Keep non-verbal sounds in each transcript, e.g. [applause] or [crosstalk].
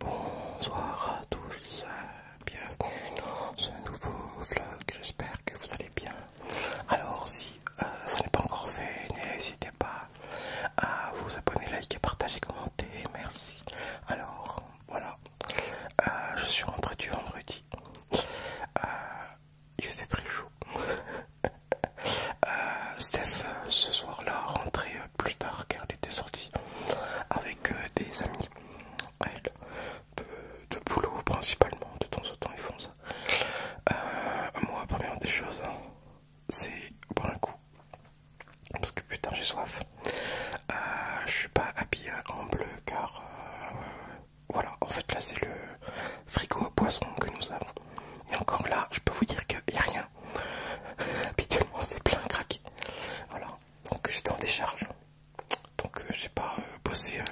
Bonsoir à tous, bienvenue dans ce nouveau vlog, j'espère que vous allez bien. Alors si euh, ce ça n'est pas encore fait, n'hésitez pas à vous abonner, liker, partager, commenter, merci. Alors voilà, euh, je suis rentré du vendredi. Euh, il faisait très chaud. [laughs] Euh, Steph, euh, ce soir-là, rentrait euh, plus tard car elle était sortie avec des amis. de, boulot principalement, de temps en temps ils font ça. moi, première des choses, hein, c'est pour un coup. Parce que putain, j'ai soif. je suis pas habillé en bleu car voilà, en fait là c'est le frigo à poisson que nous avons. Et encore là, je peux vous dire qu'il n'y a rien. [laughs] Habituellement c'est plein craqué. Voilà, donc j'étais en décharge. Donc euh, j'ai pas euh, bossé, euh,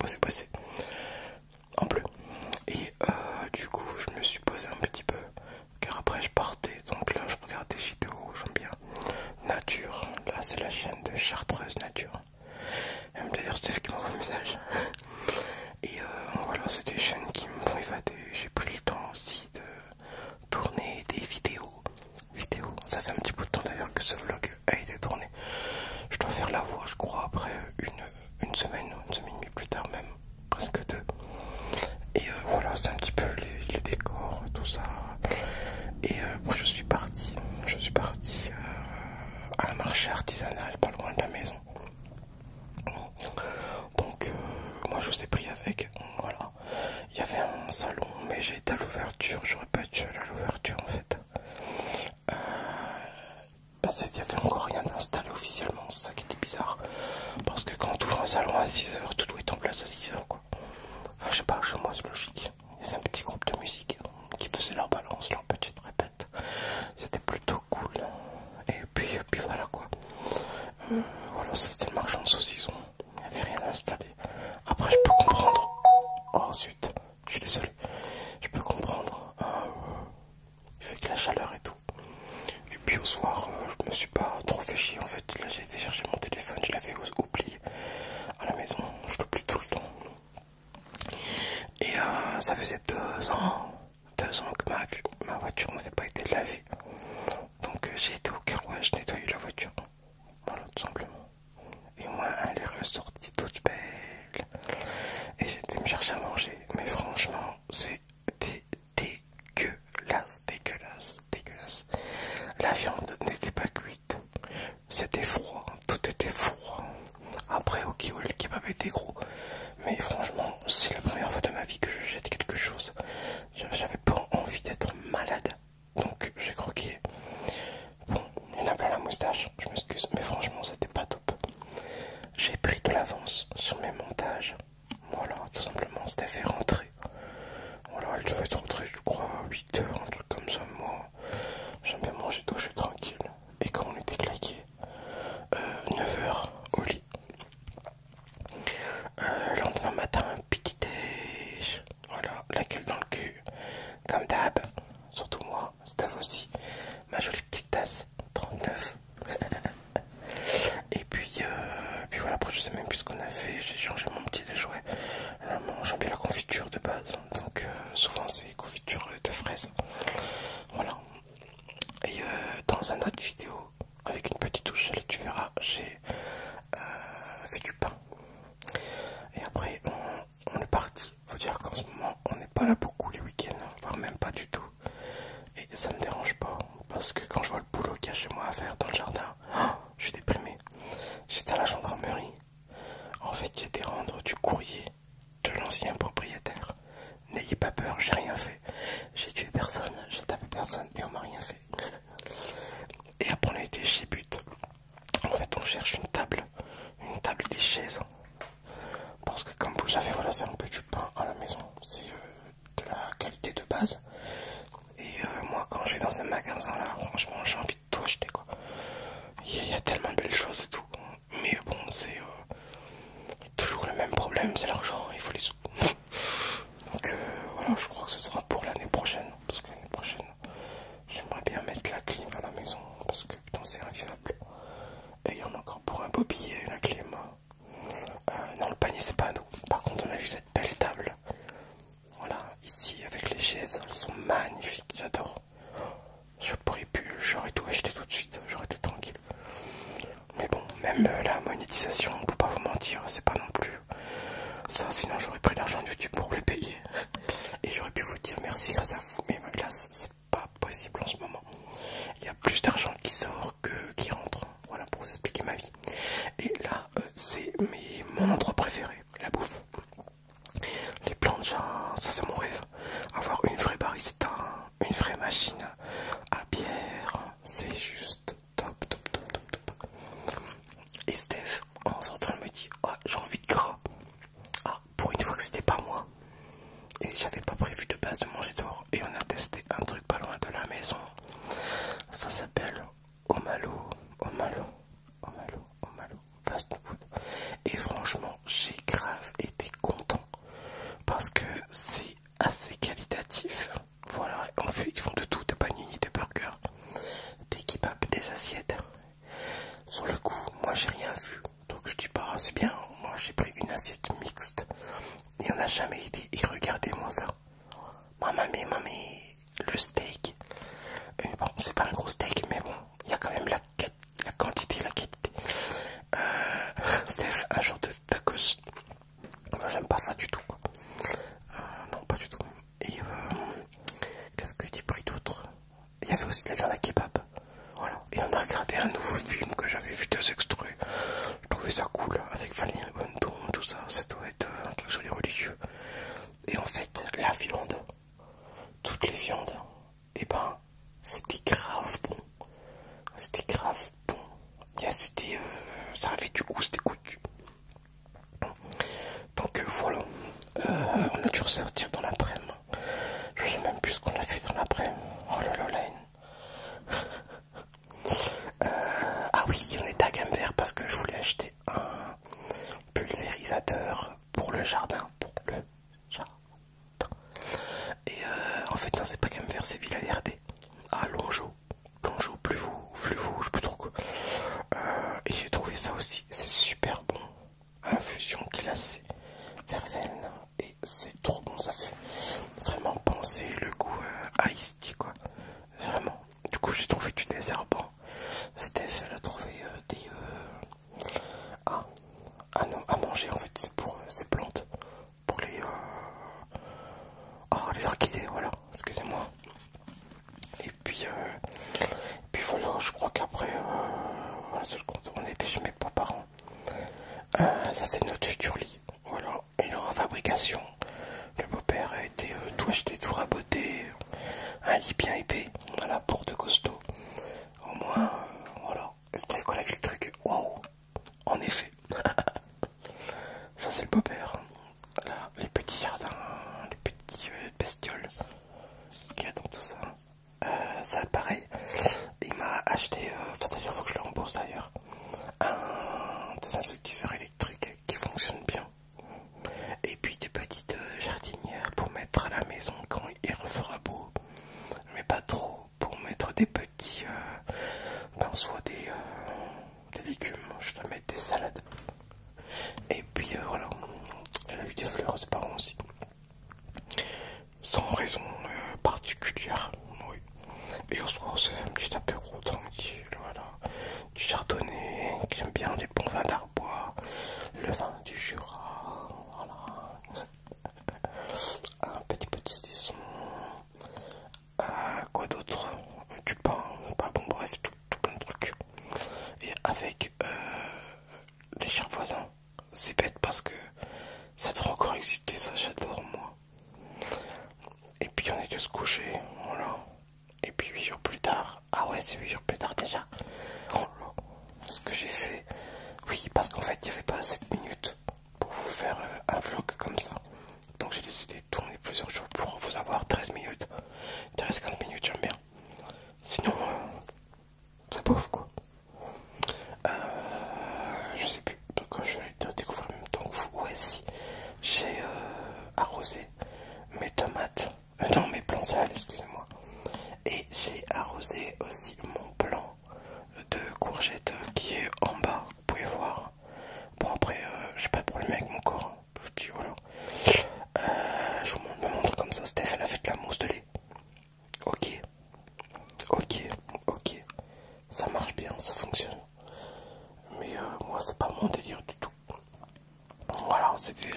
bossé, bossé en bleu. Et du coup je me suis posé un petit peu. Car après je partais, donc là je regardais des vidéos, j'aime bien. Nature, là c'est la chaîne de Chartreuse Nature. Euh, d'ailleurs, c'est qui message. Et euh, voilà, c'est des chaînes qui me font évader. J'ai pris le temps aussi de tourner des vidéos. Vidéos, ça fait un petit bout de temps d'ailleurs que ce vlog a été tourné. Je dois faire la voix, je crois, après une, une semaine, une semaine et demie plus tard, même presque deux. Et euh, voilà, c'est un petit peu les, le décor, tout ça. Et après, je suis parti. Je suis parti un marché artisanal pas loin de la maison. Donc euh, moi je vous ai pris avec, voilà. Il y avait un salon mais j'ai été à l'ouverture, j'aurais pas dû à l'ouverture en fait. Euh, bah, il parce n'y avait encore rien d'installé officiellement, c'est ça qui était bizarre. Parce que quand on ouvre un salon à 6h, tout doit être en place à 6h quoi. Enfin je sais pas, chez moi c'est logique. Il y avait un petit groupe de musique qui faisait leur balance, leur petite répète c'était plutôt cool et puis, voilà quoi euh, voilà c'était le marchand de saucisson. il n'y avait rien à installer après je peux comprendre ensuite oh, je suis désolé je peux comprendre euh, il fait que la chaleur et tout et puis au soir je euh, je me suis pas trop fait chier en fait là j'ai été chercher mon téléphone je l'avais oublié à la maison je l'oublie tout le temps et euh, ça faisait deux ans, deux ans que ma, voiture n'avait pas été lavée. Donc euh, j'ai été au carouage euh, nettoyer la voiture. Voilà, tout simplement. Et moi, elle est ressortie toute belle. Et j'étais me chercher à manger. Mais franchement, c'était dégueulasse, dégueulasse, dégueulasse. La viande n'était pas cuite. C'était froid, hein. tout était froid. Après, ok, kiwi, le kebab était gros. Mais franchement, c'est la première fois de ma vie que je jette quelque chose. J'avais pas envie d'être malade, donc j'ai croqué. Bon, il y a la moustache, je m'excuse, mais franchement, c'était pas top. J'ai pris de l'avance sur mes montages. Voilà, tout simplement, c'était fait rentrer. Voilà, elle devait être rentré, je crois, à 8h, un truc comme ça. Moi, j'aime bien manger d'eau, je suis tranquille et quand on était claqué 9h euh, au lit. Euh, le lendemain matin, petit déj, voilà, la gueule dans le cul, comme d'hab, surtout moi, Stav aussi, ma jolie petite tasse, 39. [laughs] et puis, euh, puis voilà, après je sais même plus ce qu'on a fait, j'ai changé mon petit déjouet, j'ai bien la confiture de base, donc souvent c'est confiture de fraises voilà. Et euh, dans un autre vidéo, avec une petite touche, tu verras, j'ai euh, fait du pain. Et après, on, est parti. Faut dire qu'en ce moment, on n'est pas là beaucoup les week-ends, hein, voire même pas du tout. Et ça me dérange pas, parce que quand je vois le boulot qu'il y a chez moi à faire dans le jardin, oh, je suis déprimé. J'étais à la gendarmerie, en fait, j'étais rendre du courrier de l'ancien propriétaire. N'ayez pas peur, j'ai rien fait. J'ai tué personne, j'ai tapé personne et on m'a rien fait. Et après, on a été chez But. En fait, on cherche une table, une table des chaises. Parce que, comme vous j'avais voilà, un peu du pain à la maison. C'est euh, de la qualité de base. Et euh, moi, quand je vais dans un magasin là, franchement, j'ai envie de tout acheter quoi. Il y a tellement de belles choses et tout mais bon, c'est euh, toujours le même problème, c'est l'argent, il faut les sous. [laughs] Donc euh, voilà, je crois que ce sera pour l'année prochaine, parce que l'année prochaine, j'aimerais bien mettre la clim à la maison, parce que putain, c'est invivable. Et il y en a encore pour un beau billet, la clim. Hein. Euh, non, le panier, c'est pas à nous. Par contre, on a vu cette belle table. Voilà, ici avec les chaises, elles sont magnifiques, j'adore. Je pourrais plus, j'aurais tout acheté tout de suite, j'aurais été tranquille. Mais bon, même euh, la monétisation, peut pas vous mentir, c'est pas non plus ça. Sinon, j'aurais pris l'argent de YouTube pour le payer [laughs] et j'aurais pu vous dire merci grâce à vous. Mais ma classe, c'est pas possible en ce moment. Il y a plus d'argent qui sort que qui rentre. Voilà pour vous expliquer ma vie. Et là, euh, c'est mon endroit préféré, la bouffe. Les plantes, ça c'est mon rêve. Avoir une vraie barista, une vraie machine à bière, c'est juste top, top, top, top, top. Et Steph, en sortant, elle me dit ah, j'ai envie de gras. Ah, pour une fois que c'était pas moi. Et j'avais pas prévu de base de manger dehors, Et on a testé un truc pas loin de la maison. Ça s'appelle Omalo, Omalo, Omalo, Omalo, et franchement, j'ai grave été content parce que c'est assez qualitatif. Voilà, en fait, ils font de tout de panini, de burger, des kebabs, des assiettes. Sur le coup, moi j'ai rien vu. Donc je dis pas, bah, c'est bien. Moi j'ai pris une assiette mixte. et on a jamais été. Et regardez-moi ça. Maman, mais maman, le steak. Euh, bon, c'est pas un gros steak, mais bon, il y a quand même la la quantité la qualité. Euh, Steph, un jour de tacos. Moi j'aime pas ça du tout. Quoi. Euh, non, pas du tout. Et euh, qu'est-ce que tu pris d'autre Il y avait aussi de la viande à kebab. Voilà. Et on a regardé un nouveau film que j'avais vu des extraits. Je trouvais ça cool avec Valérie et tout ça. Ça doit être un truc sur les religieux. Et en fait, la viande, toutes les viandes, et eh ben c'était grave bon. C'était grave bon. bien c'était, euh, ça avait du goût, c'était coutu. Donc euh, voilà, euh, on a dû ressortir dans l'après-midi. Je sais même plus ce qu'on a fait dans l'après-midi. Oh là [laughs] ah oui, on est à Gamber parce que je voulais acheter un pulvérisateur pour le jardin. Pour le jardin. Et euh, en fait, non, c'est pas qu'à me faire, c'est Villaverde. à ah, Longeau. Longeau, plus vous, plus vous, je peux trop quoi. Euh, et j'ai trouvé ça aussi, c'est super bon. Infusion glacée, verveine, et c'est trop bon. Ça fait vraiment penser le goût à euh, tea, quoi. Vraiment. Du coup, j'ai trouvé du désherbant. Steph, elle a trouvé des, ah, à manger en fait, c'est pour euh, ces plantes, pour euh, oh, les... orchidées, voilà, excusez-moi. Et puis, euh, puis voilà, je crois qu'après, on était chez mes parents ça c'est notre futur lit, voilà, il est en fabrication. Le beau-père a été tout acheté, tout raboté, un lit bien épais, voilà, pour de costaud. Au moins, voilà, c'était quoi la En effet [laughs] Ça c'est le beau les petits jardins, les petits euh, bestioles qu'il y a dans tout ça. Euh, ça pareil, il m'a acheté, euh, enfin faut que je le rembourse d'ailleurs, un des insectiseurs électriques qui fonctionne bien. Et puis des petites jardinières pour mettre à la maison quand il refera beau. Mais pas trop, pour mettre des petits euh, soit euh, des, légumes je vais mettre des salades et puis euh, voilà elle a eu des fleurs pas parents aussi sans raison particulière oui. et au soir on se fait un petit apéro tranquille voilà du chardonnay j'aime bien les bons vins d'arbois le vin du Jura voilà un petit peu de euh, quoi d'autre, euh, du pain, pas bon, bref, tout, plein de trucs. Et avec euh, les chers voisins, c'est bête parce que ça doit encore exister, ça j'adore moi. Et puis on est de se coucher, voilà. Et puis huit jours plus tard, ah ouais, c'est huit jours plus tard déjà. Oh ce que j'ai fait. Oui, parce qu'en fait, il n'y avait pas assez de minutes pour vous faire euh, un vlog comme ça. Donc j'ai décidé de tourner plusieurs jours pour vous avoir 13 minutes. 13-15 minutes, j'aime bien. Sinon, euh, c'est pauvre quoi. Euh, je sais plus. Quand je vais te découvrir en même temps que vous. Ouais, J'ai arrosé mes tomates. non, mes plants sales excusez-moi. Et j'ai arrosé aussi mon blanc de courgette qui est en bas, vous pouvez voir. Bon, après, euh, je j'ai pas de problème avec mon corps. Je, voilà. Euh, je vous montre comme ça. Steph, elle a fait de la mousse de lait. Ok, ok, ok. Ça marche bien, ça fonctionne. Mais euh, moi, c'est pas mon délire du tout. Voilà, c'était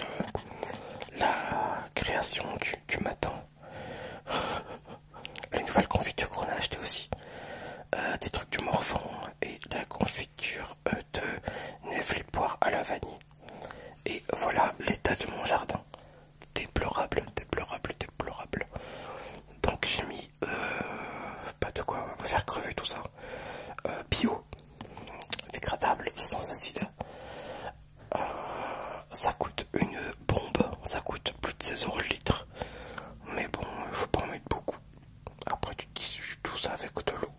la création du matin. [sighs] La nouvelle confiture qu'on a acheté aussi. Euh, des trucs du morfond et la confiture euh, de les poire à la vanille. Et voilà l'état de mon jardin. Déplorable, déplorable, déplorable. Donc j'ai mis euh, pas de quoi faire crever tout ça. bio, dégradable, sans acide. Euh, ça coûte une bombe, ça coûte plus de 16 euros le litre. Mais bon, il faut pas en mettre beaucoup. Après, tu tissues tout ça avec de l'eau.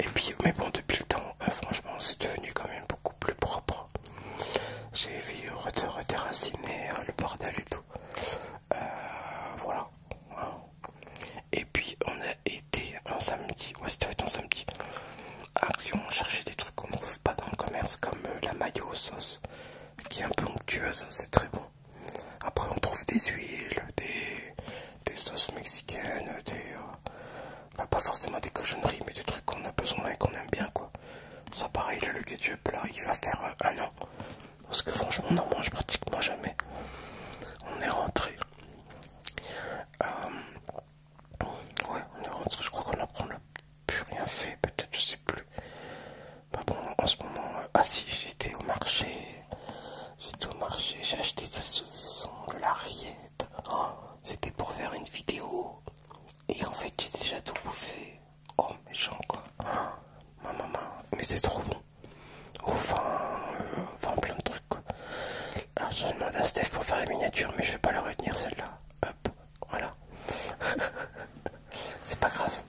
Et puis, mais bon, depuis le temps, euh, franchement, c'est devenu quand même beaucoup plus propre. J'ai vu redéraciner euh, le bordel et tout. voilà. Hein. Et puis, on a été un samedi, ouais, c'était un samedi action, ah, chercher des trucs qu'on ne trouve pas dans le commerce, comme euh, la mayo sauce qui est un peu onctueuse, c'est très bon. Après, on trouve des huiles, des, des sauces mexicaines, des, euh, bah, pas forcément des cochonneries, mais des trucs qu'on a besoin et qu'on aime bien, quoi. Ça, pareil, le ketchup, là, il va faire euh, un an. Parce que franchement, on n'en mange pratiquement jamais. On est rentré. ouais, on est rentré, je crois qu'on a pris le plus rien fait, peut-être, je sais plus. Pas bah bon, en ce moment, euh, ah si, j'étais au marché, j'étais au marché, j'ai acheté des saucissons, de la rillette. Oh, c'était pour faire une vidéo. Et en fait, j'ai déjà tout bouffé. Oh, méchant quoi. ma maman, mais c'est trop bon. Enfin, euh, plein de trucs Alors, ah, je demande à Steph pour faire la miniature, mais je vais pas la retenir celle-là. Hop. Voilà. [laughs] c'est pas grave.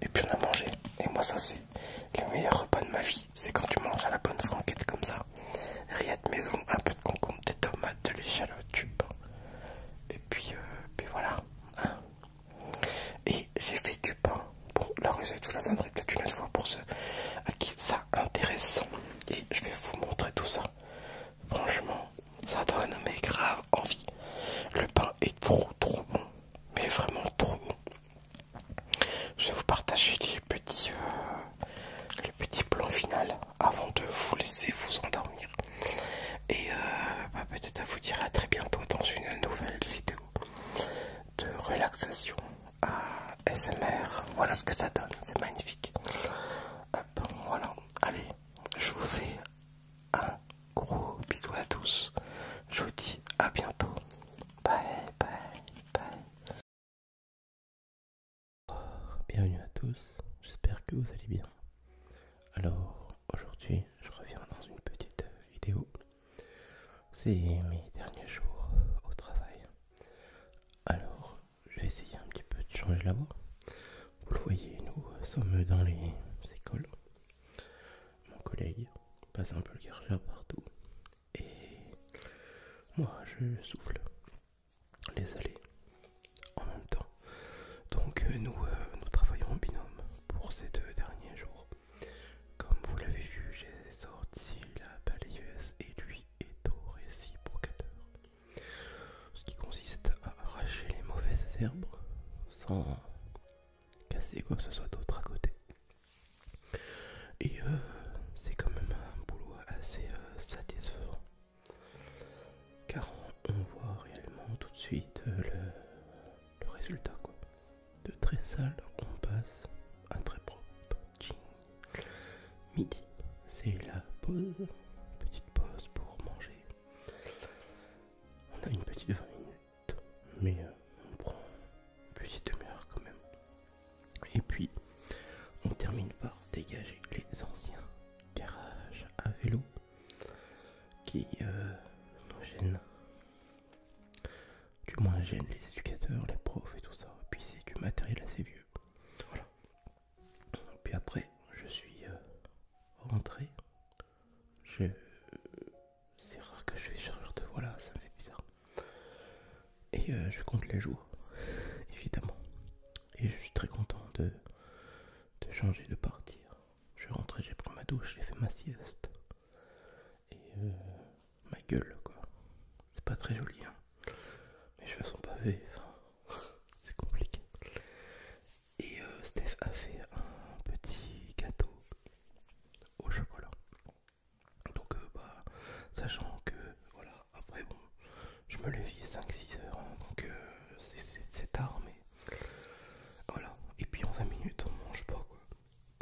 Et puis on a mangé. Et moi ça c'est le meilleur repas de ma vie. C'est quand tu manges à la bonne franquette comme ça. Rillettes maison, un peu de concombre, des tomates, de l'échalote, du pain. Et puis, euh, voilà. Hein. et j'ai fait du pain. Bon, la recette, je vous la donnerai peut-être une autre fois pour ceux à qui ça intéresse. Et je vais vous montrer tout ça. Franchement, ça donne mes grave envie. Le pain est trop trop bon, mais vraiment trop bon. Je vais vous partager les petits, euh, les petits plans final avant de vous laisser vous endormir. Et euh, bah, peut-être à vous dire à très bientôt dans une nouvelle vidéo de relaxation à SMR. Voilà ce que ça donne, c'est magnifique. Hop, voilà, allez, je vous fais un gros bisou à tous. Je vous dis à bientôt. Bye bye bye. Bienvenue à tous, j'espère que vous allez bien. Alors aujourd'hui je reviens dans une petite vidéo. C'est mes derniers jours au travail. Alors je vais essayer un petit peu de changer la voix. Vous le voyez, nous sommes dans les écoles. Mon collègue passe un peu le gargard partout. Et moi, je souffle les allées en même temps. Donc euh, nous, euh, nous travaillons en binôme pour ces deux derniers jours. Comme vous l'avez vu, j'ai sorti la balayeuse et lui est au réciprocateur ce qui consiste à arracher les mauvaises herbes sans casser quoi que ce soit d'autre à côté. Et euh, c'est quand même un boulot assez euh, satisfaisant car on voit réellement tout de suite euh, le, le résultat quoi. De très sale on passe à très propre. Midi, c'est la pause, petite pause pour manger on a une petite 20 minutes, mais euh, on prend une petite demi-heure quand même. Et puis, on termine par dégager les anciens garages à vélo qui euh, nous gênent. Du moins gênent les éducateurs, les profs et tout ça. Et puis c'est du matériel assez vieux. Voilà. Puis après, je suis euh, rentré. C'est rare que je fais sur de voix là, ça me fait bizarre. Et euh, je compte les jours, évidemment. Et je suis très content de, changer, de partir. Je suis rentré, j'ai pris ma douche, j'ai fait ma sieste. Et euh, ma gueule, quoi. C'est pas très joli, hein. Mes cheveux sont pavés, enfin, [laughs] c'est compliqué. Et euh, Steph a fait un petit gâteau au chocolat. Donc, euh, bah, sachant que, voilà, après, bon, je me lève 5-6 heures, hein, donc euh, c'est tard, mais voilà. Et puis en 20 minutes, on mange pas, quoi.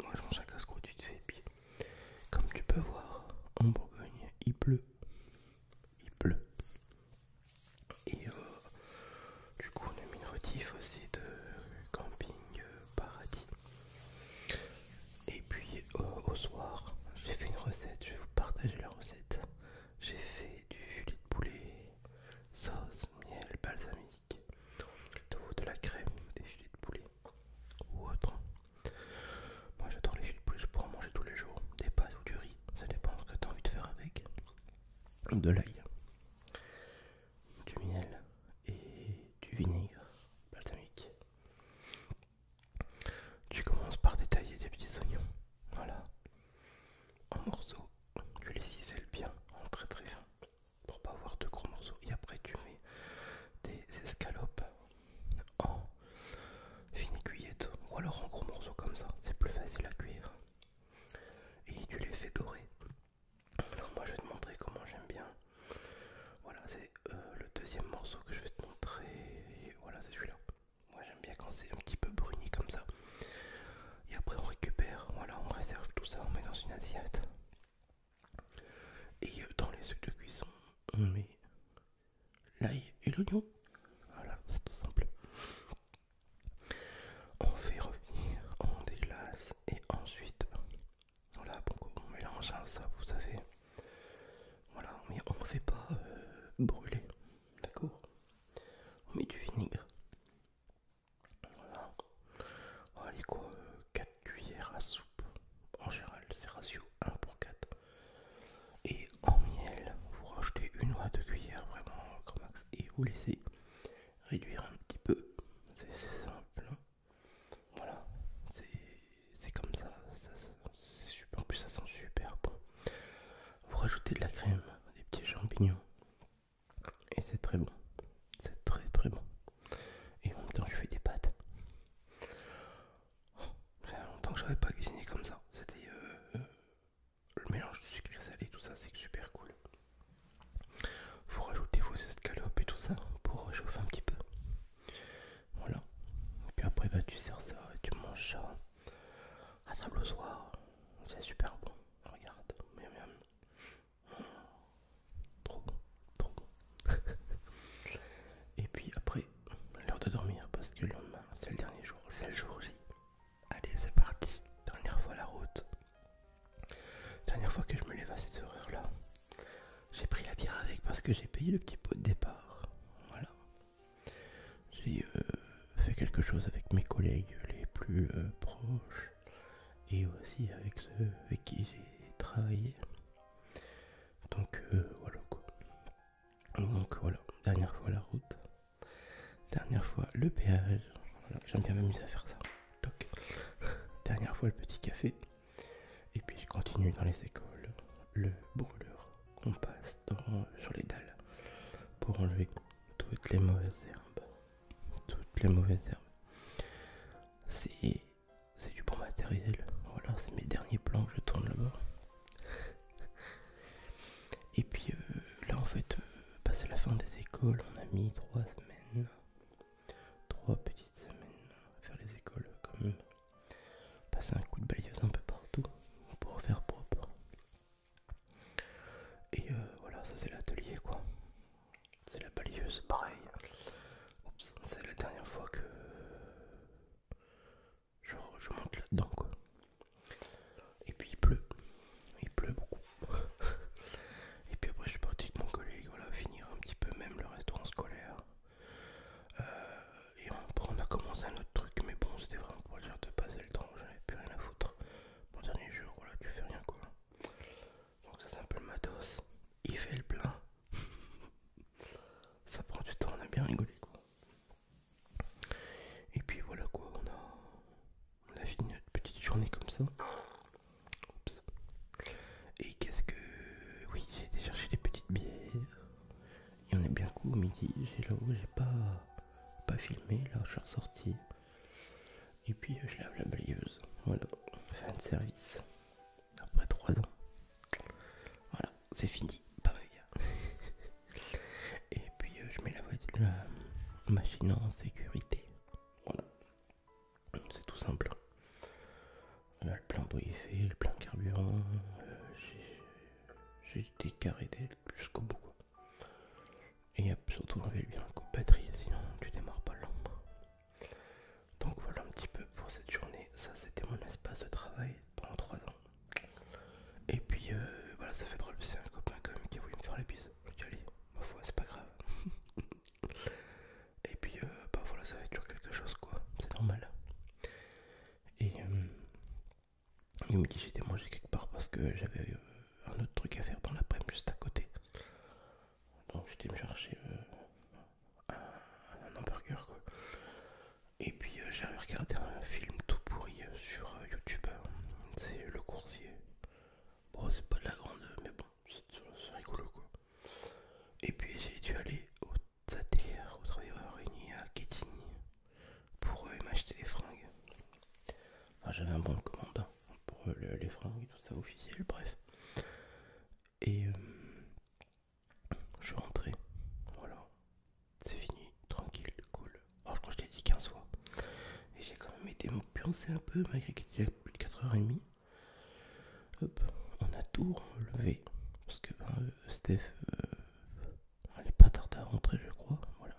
Moi, je mange un casse-croûte, tu te Et puis, comme tu peux voir, en Bourgogne, il pleut. Il pleut. Et euh, du coup, on a mis une aussi de Camping euh, Paradis. Et puis euh, au soir, j'ai fait une recette, je vais vous partager la recette. J'ai fait du filet de poulet, sauce, miel, balsamique, de, de la crème, des filets de poulet ou autre. Moi j'adore les filets de poulet, je pourrais en manger tous les jours, des pâtes ou du riz, ça dépend ce que tu as envie de faire avec de l'ail, du miel et du vinaigre balsamique. Tu commences par détailler des petits oignons, voilà, en morceaux. Tu les ciselles bien, en très très fin, pour pas avoir de gros morceaux. Et après tu mets des escalopes en fines cuillette ou alors en gros morceaux comme ça, c'est plus facile à cuire et tu l'effet doré. Alors moi je vais te montrer comment j'aime bien. Voilà, c'est euh, le deuxième morceau que je vais te montrer. voilà, c'est celui-là. Moi j'aime bien quand c'est un petit peu bruni comme ça. Et après on récupère, voilà, on réserve tout ça, on met dans une assiette. Et euh, dans les sucres de cuisson, on met l'ail et l'oignon. Voilà, c'est tout simple. On fait revenir, on déglace et ensuite, voilà, on mélange ça, vous savez. Voilà, mais on ne fait pas euh, brûler, d'accord On met du vinaigre. Voilà. Allez quoi, 4 cuillères à soupe. En général, c'est ratio 1 pour 4. Et en miel, vous rajoutez une ou deux cuillères vraiment grand max et vous laissez réduire un petit peu. C'est simple. Hein. Voilà, c'est comme ça, c'est super, en plus ça sent super bon. Vous rajoutez de la crème, des petits champignons et c'est très bon. C'est très très bon. Et en même temps je fais des pâtes. longtemps que j'avais pas cuisiné comme ça. C'était euh, le mélange de et salé, tout ça, c'est super cool. Vous rajoutez vos escalopes et tout ça pour chauffer un petit peu. Voilà. Et puis après, bah, tu sers ça et tu manges ça à table au soir. C'est super bon. Regarde. Trop bon. Trop bon. [laughs] et puis après, l'heure de dormir parce que le lendemain, c'est le dernier jour. C'est le jour J. Allez, c'est parti. Dernière fois la route. Dernière fois que je me lève à cette horreur là J'ai pris la bière avec parce que j'ai payé le petit pot de départ. Voilà. J'ai euh, fait quelque chose avec mes collègues les plus euh, proches et aussi avec ceux avec qui j'ai travaillé. Donc euh, voilà quoi. Donc voilà, dernière fois la route. Dernière fois, le péage. J'aime bien m'amuser à faire ça. Toc. Dernière fois, le petit café. Et puis, je continue dans les écoles. Le brûleur qu'on passe sur les dalles pour enlever toutes les mauvaises herbes. Toutes les mauvaises herbes. C'est du bon matériel. Voilà, c'est mes derniers plans que je tourne là-bas. Et puis euh, là, en fait, passer euh, bah, la fin des écoles, on a mis trois semaines, trois petites semaines à faire les écoles quand même. Passer un coup de balayeuse un peu partout pour faire propre. Et euh, voilà, ça c'est l'atelier quoi. C'est la balayeuse, pareil. C'est la dernière fois que je monte là-dedans quoi. Et puis il pleut, il pleut beaucoup. [laughs] Et puis après je suis parti avec mon collègue, voilà, finir un petit peu même le restaurant scolaire. Euh, et on a commencé un autre truc, mais bon c'était vraiment pour le dire de passer le temps, j'avais plus rien à foutre. Mon dernier jour, voilà, tu fais rien quoi. Donc ça c'est un peu le matos. Il fait le plein. [laughs] ça prend du temps, on a bien rigolé quoi. Et puis voilà quoi, on a, fini notre petite journée comme ça. Et qu'est-ce que... Oui, j'ai été chercher des petites bières. il y en a bien coup au midi. J'ai là où j'ai pas, pas filmé. Là, je suis ressorti. Et puis, je lave la balayeuse. Voilà, fin de service. Après 3 ans. Voilà, c'est fini. Pas [laughs] mal. Et puis euh, je mets la, la machine en sécurité. Voilà. C'est tout simple. Euh, le plein d'eau est fait, le plein de carburant. Euh, j'ai été carré jusqu'au bout. Et surtout on bien un coup de batterie, sinon tu démarres pas l'ombre Donc voilà un petit peu pour cette journée. Ça c'était mon espace de travail pendant 3 ans. Et puis voilà, ça fait drôle, c'est un copain quand même qui a voulu me faire la bise aller, ma foi, c'est pas grave. [laughs] et puis, euh, bah voilà, ça fait toujours quelque chose, quoi, c'est normal. Et euh, il me dit j'étais mangé quelque part parce que j'avais euh, un autre truc à faire dans l'après-midi juste à côté. Donc j'étais me chercher un, hamburger quoi. Et puis j'ai j'avais regardé un film tout pourri sur YouTube. C'est Le Coursier. Bon, c'est pas de la grande, mais bon, c'est rigolo quoi. Et puis j'ai dû aller au TATR, au travailleurs réunis à Kétigny, pour euh, m'acheter les fringues. j'avais un bon commandant hein, pour euh, les fringues et tout ça officiel, bref. Et euh, je suis rentré, voilà, c'est fini, tranquille, cool. Oh, je crois que je l'ai dit 15 fois. Et j'ai quand même été me un peu, malgré qu'il était plus de 4h30. Hop, on a tout relevé. Parce que ben, euh, Steph n'allait euh, pas tarder à rentrer, je crois. Voilà.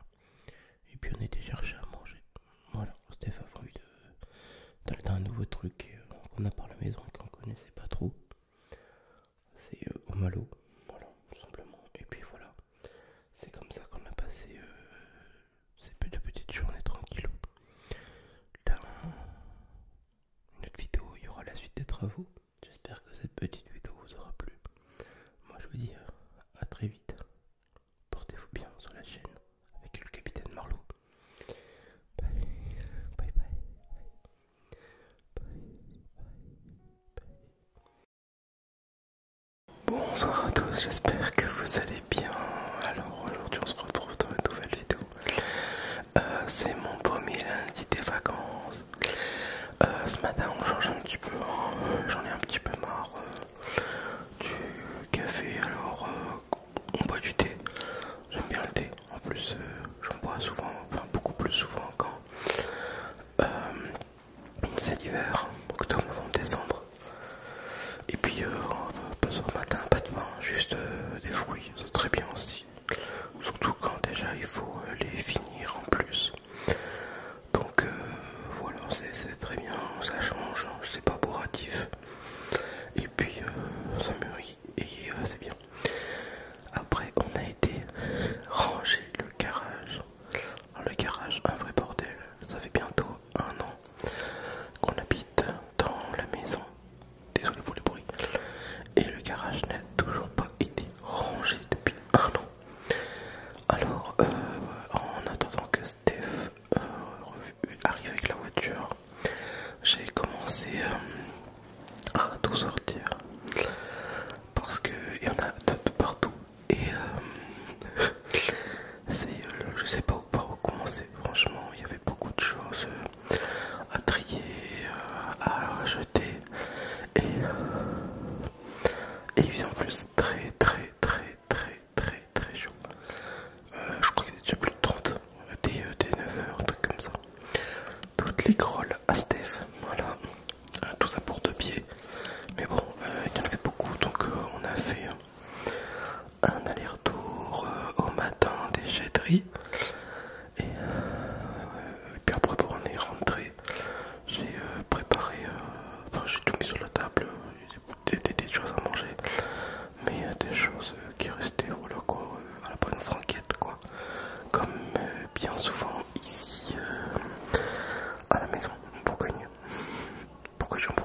Et puis on était cherché à manger. Voilà, Steph a envie de un nouveau truc euh, qu'on a par la maison qu'on connaissait pas trop. C'est au malo. Voilà, tout simplement. Et puis voilà. C'est comme ça qu'on a passé euh, ces petites journées tranquilles. Dans une autre vidéo, il y aura la suite des travaux. J'espère que cette petite vidéo vous aura plu. Moi, je vous dis euh, à très vite. Portez-vous bien sur la chaîne avec le capitaine Marlowe. bye, bye, bye, bye, bye. bye. Bonsoir à tous, j'espère que vous allez bien. Alors aujourd'hui on se retrouve dans une nouvelle vidéo. Euh, c'est mon premier lundi des vacances. Euh, ce matin on change un petit peu, hein. j'en ai un petit peu marre euh, du café. Alors on boit du thé. J'aime bien le thé. En plus j'en bois souvent, enfin beaucoup plus souvent encore c'est l'hiver, octobre, novembre, décembre. Et puis, euh, pas ce matin, pas demain, juste euh, des fruits, c'est très bien aussi. Surtout quand déjà il faut euh, les finir en plus. Donc voilà, c'est très bien, ça change, hein, c'est pas bourratif. Et puis ça mûrit et c'est bien. Après, on a été ranger le garage le garage, un vrai bordel. Ça fait bientôt un an qu'on habite dans la maison. Désolé pour le bruit. Et le garage n'a toujours pas été rangé depuis un an. Alors, euh, en attendant que Steph euh, arrive avec la voiture, j'ai commencé euh, à tout sortir. Parce qu'il y en a de partout et euh, c'est euh, je sais pas par où commencer franchement il y avait beaucoup de choses euh, à trier à jeter et, il faisait en plus très très très très très très chaud je crois qu'il était déjà plus de 30 des, 9h un truc comme ça toutes les grolles à Steph voilà tout ça pour deux pieds mais bon, euh, il y en avait beaucoup donc euh, on a fait euh, un aller-retour au matin des jetteries et, puis après pour on est rentré, j'ai préparé, enfin j'ai tout mis sur la table, des, des, choses à manger, mais des choses qui restaient au loco, à la bonne franquette quoi, comme bien souvent ici à la maison Bourgogne pourquoi je en pas.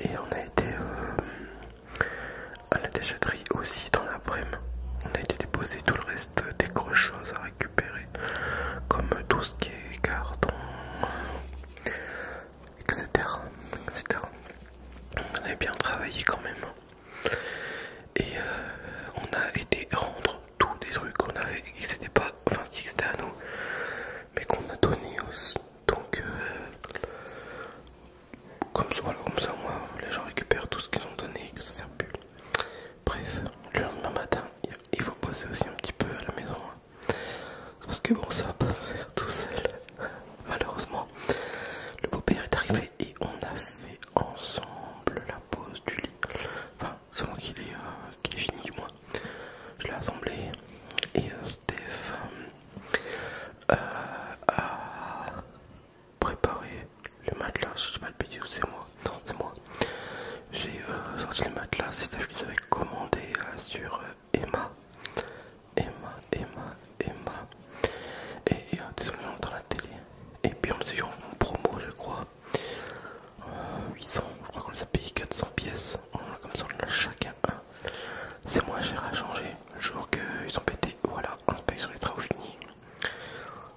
Et on a été euh, à la déchetterie aussi dans la midi On a été déposer tout le reste des grosses choses à récupérer, comme tout ce qui est carton, etc. On a bien travaillé quand même. Et euh, on a été rendre tous des trucs qu'on avait et que c'était pas, enfin si c'était à nous, mais qu'on a donné aussi. Donc, euh, comme, ça, comme ça, moi, les gens récupèrent tout ce qu'ils ont donné et que ça sert plus. Bref, le lendemain matin, il faut poser aussi un petit peu à la maison. Hein. Parce que bon, ça va pas se faire tout seul. Malheureusement, le beau-père est arrivé et on a fait ensemble la pause du lit. C'est moi qui l'ai fini moi, Je l'ai assemblé et euh, Steph euh, a préparé le matelas, je sais pas de où c'est moi, non c'est moi. J'ai euh, sorti le matelas, c'est Steph qui avait commandé sur Emma. Emma, Emma, Emma. Et désolé dans la télé. Et puis on le sait en promo je crois. 800, euh, je crois qu'on les a payé 400 pièces, oh, comme ça on a chacun un. C'est moins cher à changer le jour qu'ils ont pété. Voilà, inspection des travaux finis.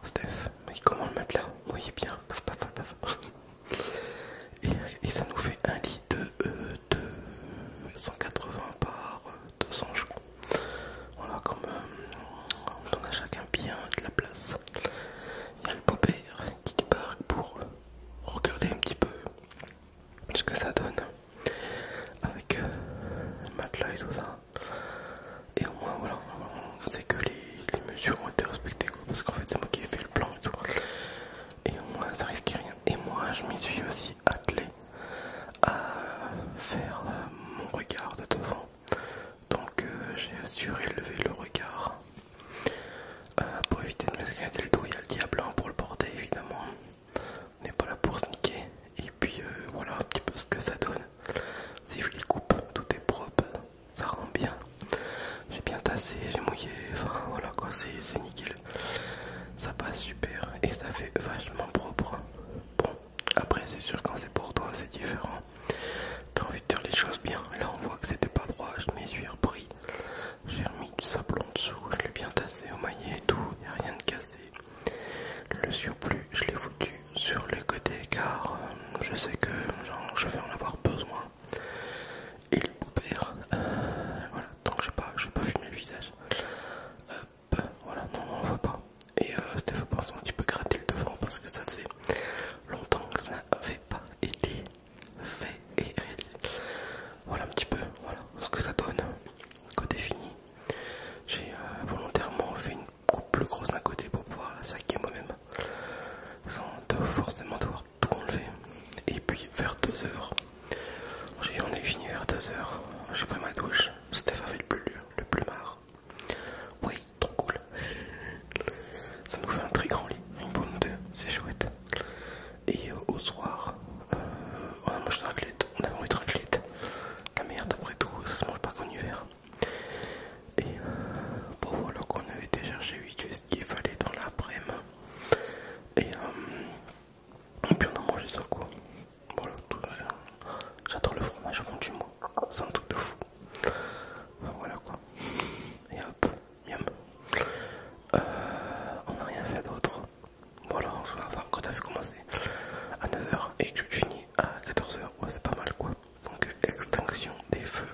Steph, comment le mettre là Vous voyez bien, paf paf paf [laughs] Et, ça nous fait un lit de, 180 euh, par 200, je crois. Voilà, comme euh, on donne à chacun bien de la place. Il y a le beau-père qui débarque pour regarder un petit peu ce que ça donne avec euh, le matelas et tout ça. Et au moins, voilà, on sait que les, mesures ont été respectées parce qu'en fait, c'est moi qui ai fait le plan et tout. Et au moins, ça risque rien. Et moi, je m'y suis aussi attelé à faire euh, mon regard de devant. Donc, euh, j'ai surélevé le regard euh, pour éviter de m'escalader le dos, il y a le diable hein, pour le porter évidemment. On n'est pas là pour sniquer. Et puis euh, voilà un petit peu ce que ça donne. Si je les coupe, tout est propre, ça rend bien. J'ai bien tassé, j'ai mouillé, enfin voilà quoi, c'est nickel. Ça passe super et ça fait vachement propre. Bon, après c'est sûr quand c'est pour toi c'est différent dire les choses bien. Là, on voit que c'était pas droit, je m'y suis repris. J'ai remis du sable en dessous, je l'ai bien tassé au maillet et tout, Il n'y a rien de cassé. Le surplus, je l'ai foutu sur le côté car euh, je sais que je vais en avoir besoin. Et le euh, voilà, donc je ne pas, vais pas filmer le visage. Hop, voilà, non, on ne voit pas. Et euh, Stéphane, un petit peu gratter le devant parce que ça faisait longtemps que ça n'avait pas été fait et Voilà un petit peu voilà, ce que ça donne côté fini. J'ai euh, volontairement fait une coupe plus grosse d'un côté pour pouvoir la saquer moi-même sans forcément devoir tout enlever. Et puis vers 2h, on est fini vers 2 heures j'ai pris ma douche, c'était avait le plus, le plus marre. Oui, trop cool. Ça nous fait un très grand lit, une bonne deux, c'est chouette. Et euh, au soir, euh, on a mangé de raclette, on avait mangé de La merde, après tout, ça se mange pas qu'en hiver. Et euh, bon, voilà qu'on avait déjà cherché vite ce qu'il fallait dans l'après-midi. Et, puis on a mangé ça quoi. Voilà, j'adore le fromage, du moi c'est un truc de fou. voilà quoi. Et hop. Miam. Euh, on n'a rien fait d'autre. Voilà, se l'a quand On avait commencé à 9h et que tu finis à 14h. c'est pas mal quoi. Donc, extinction des feux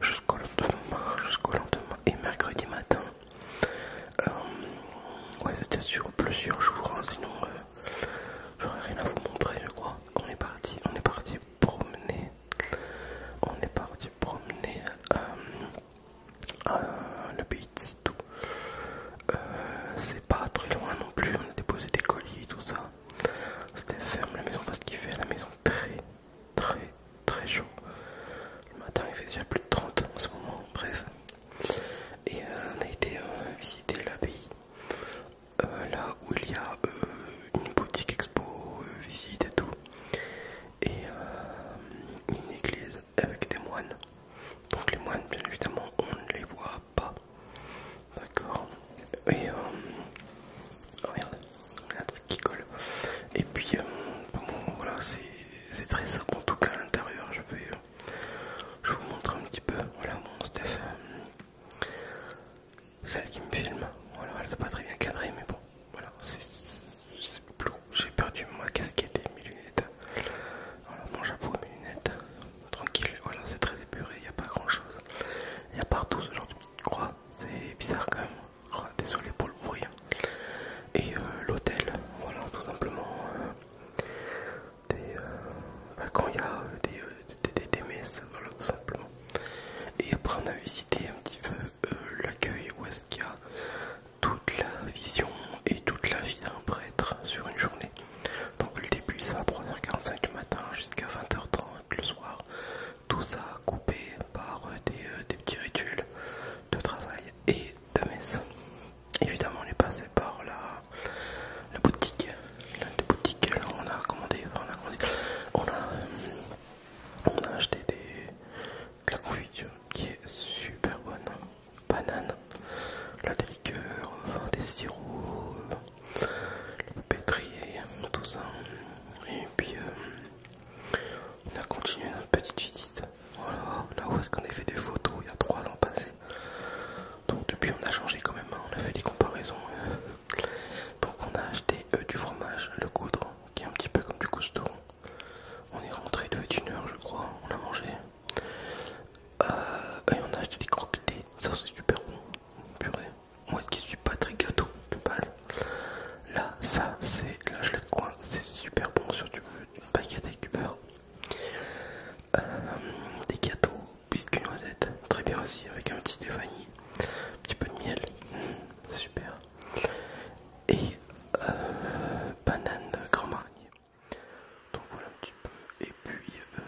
jusqu'au lendemain, jusqu'au lendemain et mercredi matin. Euh, ouais, c'était sur plusieurs jours, hein. sinon euh, j'aurais rien à vous montrer, je crois. On est parti, on est parti promener on est parti promener euh, à l'abbaye le pays de Sitou. Euh, c'est pas très loin non plus, on a déposé des colis et tout ça. C'était ferme la maison parce qu'il fait la maison très très très chaud. Le matin il fait déjà plus de 30 en ce moment, bref. Et euh, on a été visiter l'abbaye, là où il y a euh, une boutique expo, euh, visite et tout, et euh, une église avec des moines. Donc les moines, bien évidemment, on ne les voit pas. D'accord Et oh, un truc qui colle. Et puis, voilà, c'est très simple en tout cas à l'intérieur. Je vais, je vous montre un petit peu, voilà mon stuff celle qui me filme. Voilà, elle n'est pas très bien cadrée, mais bon, voilà, c'est plus. J'ai perdu ma casquette et mes lunettes. Voilà, mon chapeau et mes lunettes. Tranquille, voilà, c'est très épuré, il n'y a pas grand chose. Il y a partout ce genre de petite croix, c'est bizarre quand même. Oh, désolé pour le bruit. Hein. Et euh, l'hôtel, voilà, tout simplement. Euh, des, euh, bah, quand il y a des, des messes, voilà, tout simplement. Et après, on a visité un petit peu euh, l'accueil où est-ce qu'il y a toute la vision et toute la vie d'un prêtre sur une journée. Donc le début c'est à 3h45 du matin jusqu'à 20h30 le soir. Tout ça coupé par euh, euh, des, petits rituels de travail et de messe. Évidemment on est passé par la, boutique. L'un des boutiques on a commandé, on a hum, on a acheté de la confiture qui est super bonne. Banane, la des des sirops, le pétrier, tout ça. Et puis euh, on a continué notre petite visite. Voilà, là où est-ce qu'on a fait des photos il y a trois ans passé. Donc depuis on a changé quand même, hein. on a fait des comparaisons. Donc on a acheté euh, du fromage, le coudre, qui est un petit peu comme du costaud. On est rentré, il devait être une heure, je crois. On a mangé. Euh, et on a acheté des croquettes, Ça, c'est super bon. Purée. Moi qui suis pas très gâteau de base. Là, ça, c'est l'âge l'ai de coin. C'est super bon sur du, une baguette avec du euh, des gâteaux, biscuits noisette Très bien aussi, avec un petit Stéphanie. Un petit peu de miel. Mmh, c'est super et euh, banane banane grand marnier. Donc voilà un petit peu. Et puis euh,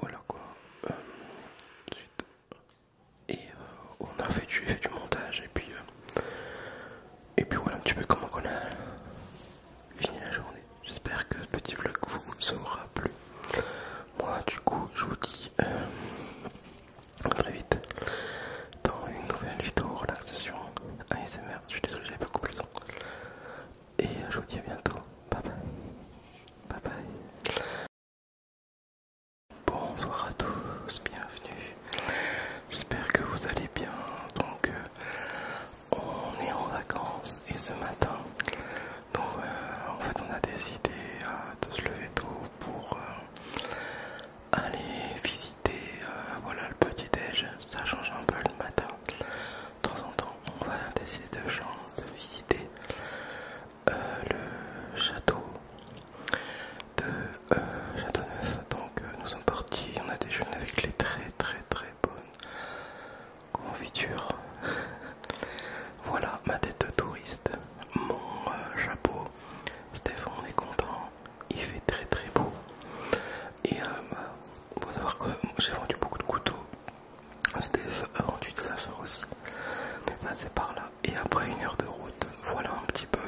voilà quoi. Euh, et on a fait du, du montage et puis et puis voilà un petit peu comment on a fini la journée. J'espère que ce petit vlog vous aura plu. Moi du coup je vous dis très vite dans une nouvelle vidéo relaxation ASMR. Je suis désolé, j'avais beaucoup plus le temps. Et euh, je vous dis à bientôt. Bye bye. Bye bye. Bonsoir à tous, bienvenue. J'espère que vous allez bien. Donc, euh, on est en vacances et ce matin, euh, en fait, on a décidé de se lever tôt pour euh, aller visiter euh, voilà, le petit déj. Ça change un peu le matin. De temps en temps, on va essayer de, visiter euh, le château de château Châteauneuf. Donc nous sommes partis, on a déjeuné avec les très très très bonnes confiture [laughs] Voilà ma tête de touriste, mon euh, chapeau. Stéphane, on est content, il fait très très beau. Et euh, savoir que j'ai vendu beaucoup de couteaux. Steph a vendu des affaires aussi. par là. Et après une heure de route, voilà un petit peu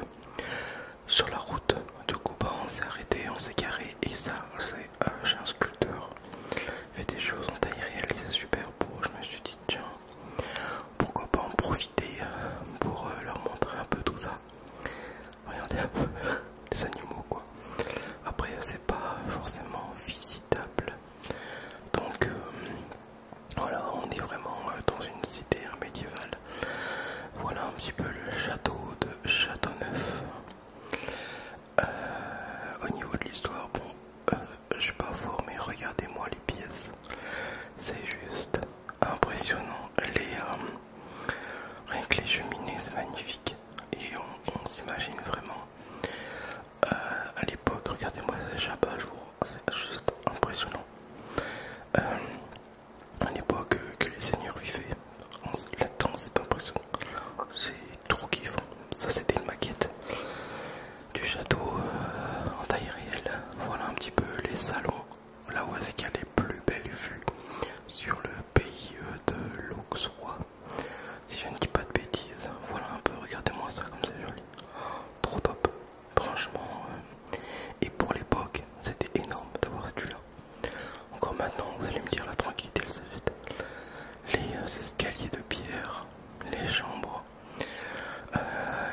sur la route. de coup, bah, on s'est arrêté, on s'est garé. Et ça, c'est euh, un sculpteur. Il fait des choses en taille réelle, c'est super beau. Je me suis dit, tiens, pourquoi pas en profiter euh, pour euh, leur montrer un peu tout ça. Regardez un peu [laughs] les animaux quoi. Après euh, c'est pas forcément visitable. Donc voilà, on est vraiment dans une cité hein, médiévale. Voilà un petit peu le château de Châteauneuf. au niveau de l'histoire, bon, euh, je suis pas fort mais regardez-moi les pièces. C'est juste impressionnant. Les, euh, rien que les cheminées, c'est magnifique. Et on, s'imagine vraiment. Euh, à l'époque, regardez-moi à jour, c'est juste impressionnant. à l'époque que les seigneurs vivaient, là-dedans c'est impressionnant. C'est trop kiffant. Ça c'était une maquette du château euh, en taille réelle. Voilà un petit peu les salons, là où est-ce qu'il y a les plus belles vues sur le pays euh, de l'Auxois. Si je ne dis pas de bêtises, voilà un peu, regardez-moi ça comme c'est joli. Trop top, franchement. Euh, et pour l'époque, c'était énorme d'avoir celui-là. Encore maintenant, vous allez me dire la tranquillité, les escaliers de pierre, les chambres, euh,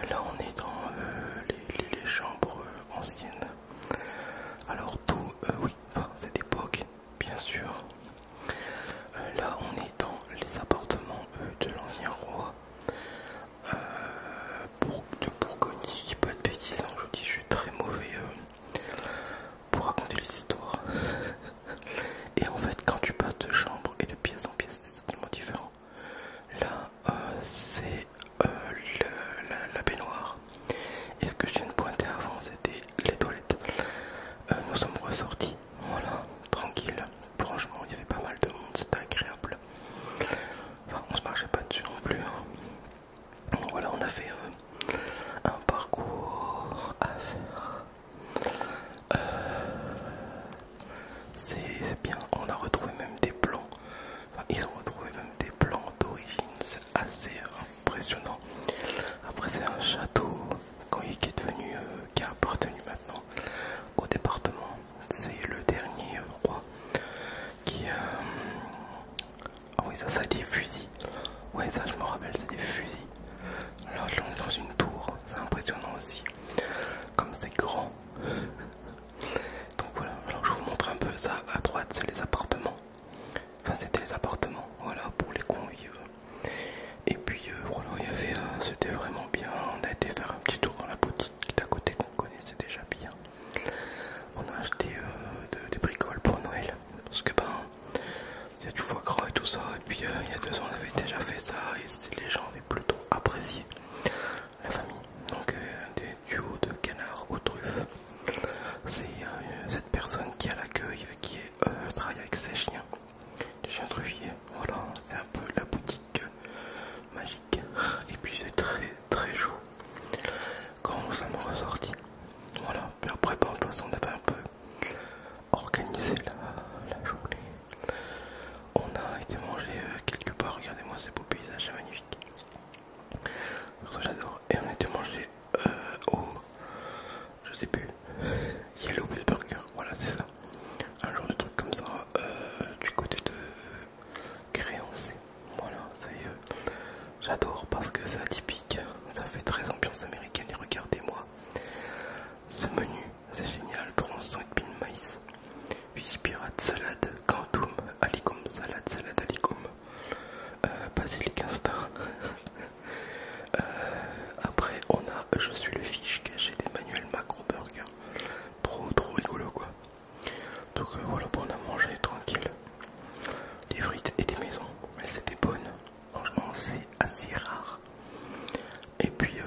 là on est dans euh, les, chambres euh, anciennes. Alors tout, oui, enfin, époque bien sûr. là on est dans les appartements de l'ancien roi pour, de Bourgogne. Je dis pas de bêtises, hein, je dis, je suis très mauvais pour raconter les histoires. [laughs] Et en fait, quand tu passes de chambre et de pièce en pièce, c'est totalement différent. Là, euh, c'est euh, la, baignoire. Et ce que je viens de pointer avant, c'était les toilettes. Euh, nous sommes ressortis, voilà, tranquille. Franchement, il y avait pas mal de monde, c'était agréable. Enfin, on se marchait pas dessus non plus. Hein. Voilà, on a fait un parcours à faire c'est bien. On a retrouvé même des plans, ils ont retrouvé même des plans d'origine, c'est assez impressionnant. Après, c'est un château qui est devenu, euh, qui a appartenu maintenant au département. C'est le dernier roi qui euh, Ah oui, ça, ça des fusils. Oui, ça, je me rappelle, c'est des fusils. Là, on est dans une tour, c'est impressionnant aussi. Comme c'est grand, donc voilà, alors je vous montre un peu ça à droite, c'est les appartements. Enfin, c'était les appartements, voilà, pour les convives. Euh. Et puis euh, voilà, il euh, c'était vraiment bien. On a été faire un petit tour dans la boutique à côté qu'on connaissait déjà bien. On a acheté des bricoles pour Noël parce que ben il y a du foie gras et tout ça. Et puis il y a deux ans, on avait déjà fait ça et les gens avaient plutôt apprécié la famille. Donc euh, des duos de canards aux truffes. C'est euh, cette personne qui a l'accueil qui est, euh, travaille avec ses chiens. Des chiens truffiers. Voilà, c'est un peu la boutique magique. Et puis c'est très très joue quand nous sommes ressortis. Voilà, puis après, de toute façon, on avait un peu organisé la journée. On a été mangé euh, quelque part, regardez-moi ce beau paysage magnifique. J'adore. Et on a été mangé euh, au... Je sais plus. Yellow Bull Burger, voilà c'est ça. Un genre de truc comme ça euh, du côté de Créancé. Voilà, y J'adore parce que c'est atypique. Ça fait très ambiance américaine et regardez-moi ce menu c'est génial, tronçon et pin maïs, Puis pirate, salade, quantum, alicum, salade, salade, alicum, euh, basilic [laughs] euh, après on a je suis le fiche caché d'Emmanuel Macro Burger, trop trop rigolo quoi. Donc euh, voilà, on a mangé tranquille Les frites étaient des maisons, elles étaient bonnes. Franchement, c'est assez rare et puis euh,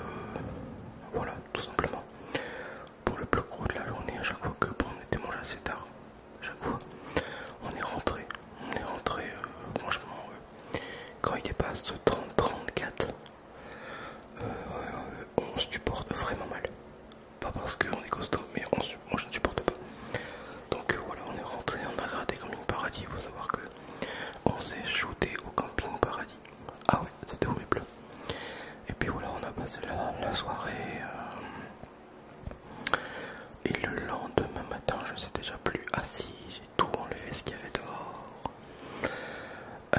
voilà, tout simplement. Pour le bloc rouge de la journée, à chaque fois que on était mangé assez tard, chaque fois, on est rentré. On est rentré, euh, franchement, euh, quand il dépasse 30-34, on se supporte vraiment mal. Pas parce qu'on est costaud, mais on, moi je ne supporte pas. Donc voilà, on est rentré, on a regardé Camping Paradis. Il faut savoir que on s'est shooté au Camping Paradis. Ah ouais, c'était horrible. Et puis voilà, on a passé la, soirée. Euh, et le lendemain matin, je ne sais déjà plus assis, j'ai tout enlevé ce qu'il y avait dehors. Euh,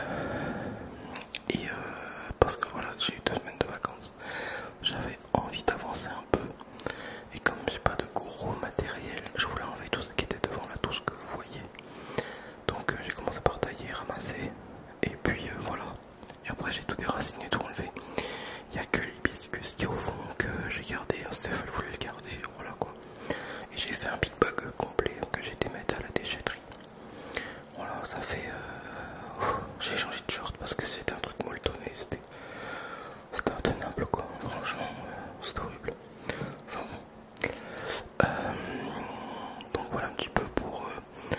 et euh, parce que voilà, j'ai eu deux semaines de vacances, j'avais envie d'avancer un peu. Et comme j'ai pas de gros matériel, je voulais enlever tout ce qui était devant là, tout ce que vous voyez. Donc euh, j'ai commencé par tailler, ramasser, et puis euh, voilà. Et après j'ai tout déraciné, tout enlevé. Il n'y a que l'hibiscus qui est au fond que j'ai gardé, Steph voulait le garder, voilà quoi. Et j'ai fait un big bug complet que j'ai été mettre à la déchetterie. Voilà, ça fait... Euh, j'ai changé de short parce que c'était un truc molletonné, c'était... C'était intenable quoi, franchement, c'était horrible. Euh, donc voilà un petit peu pour euh,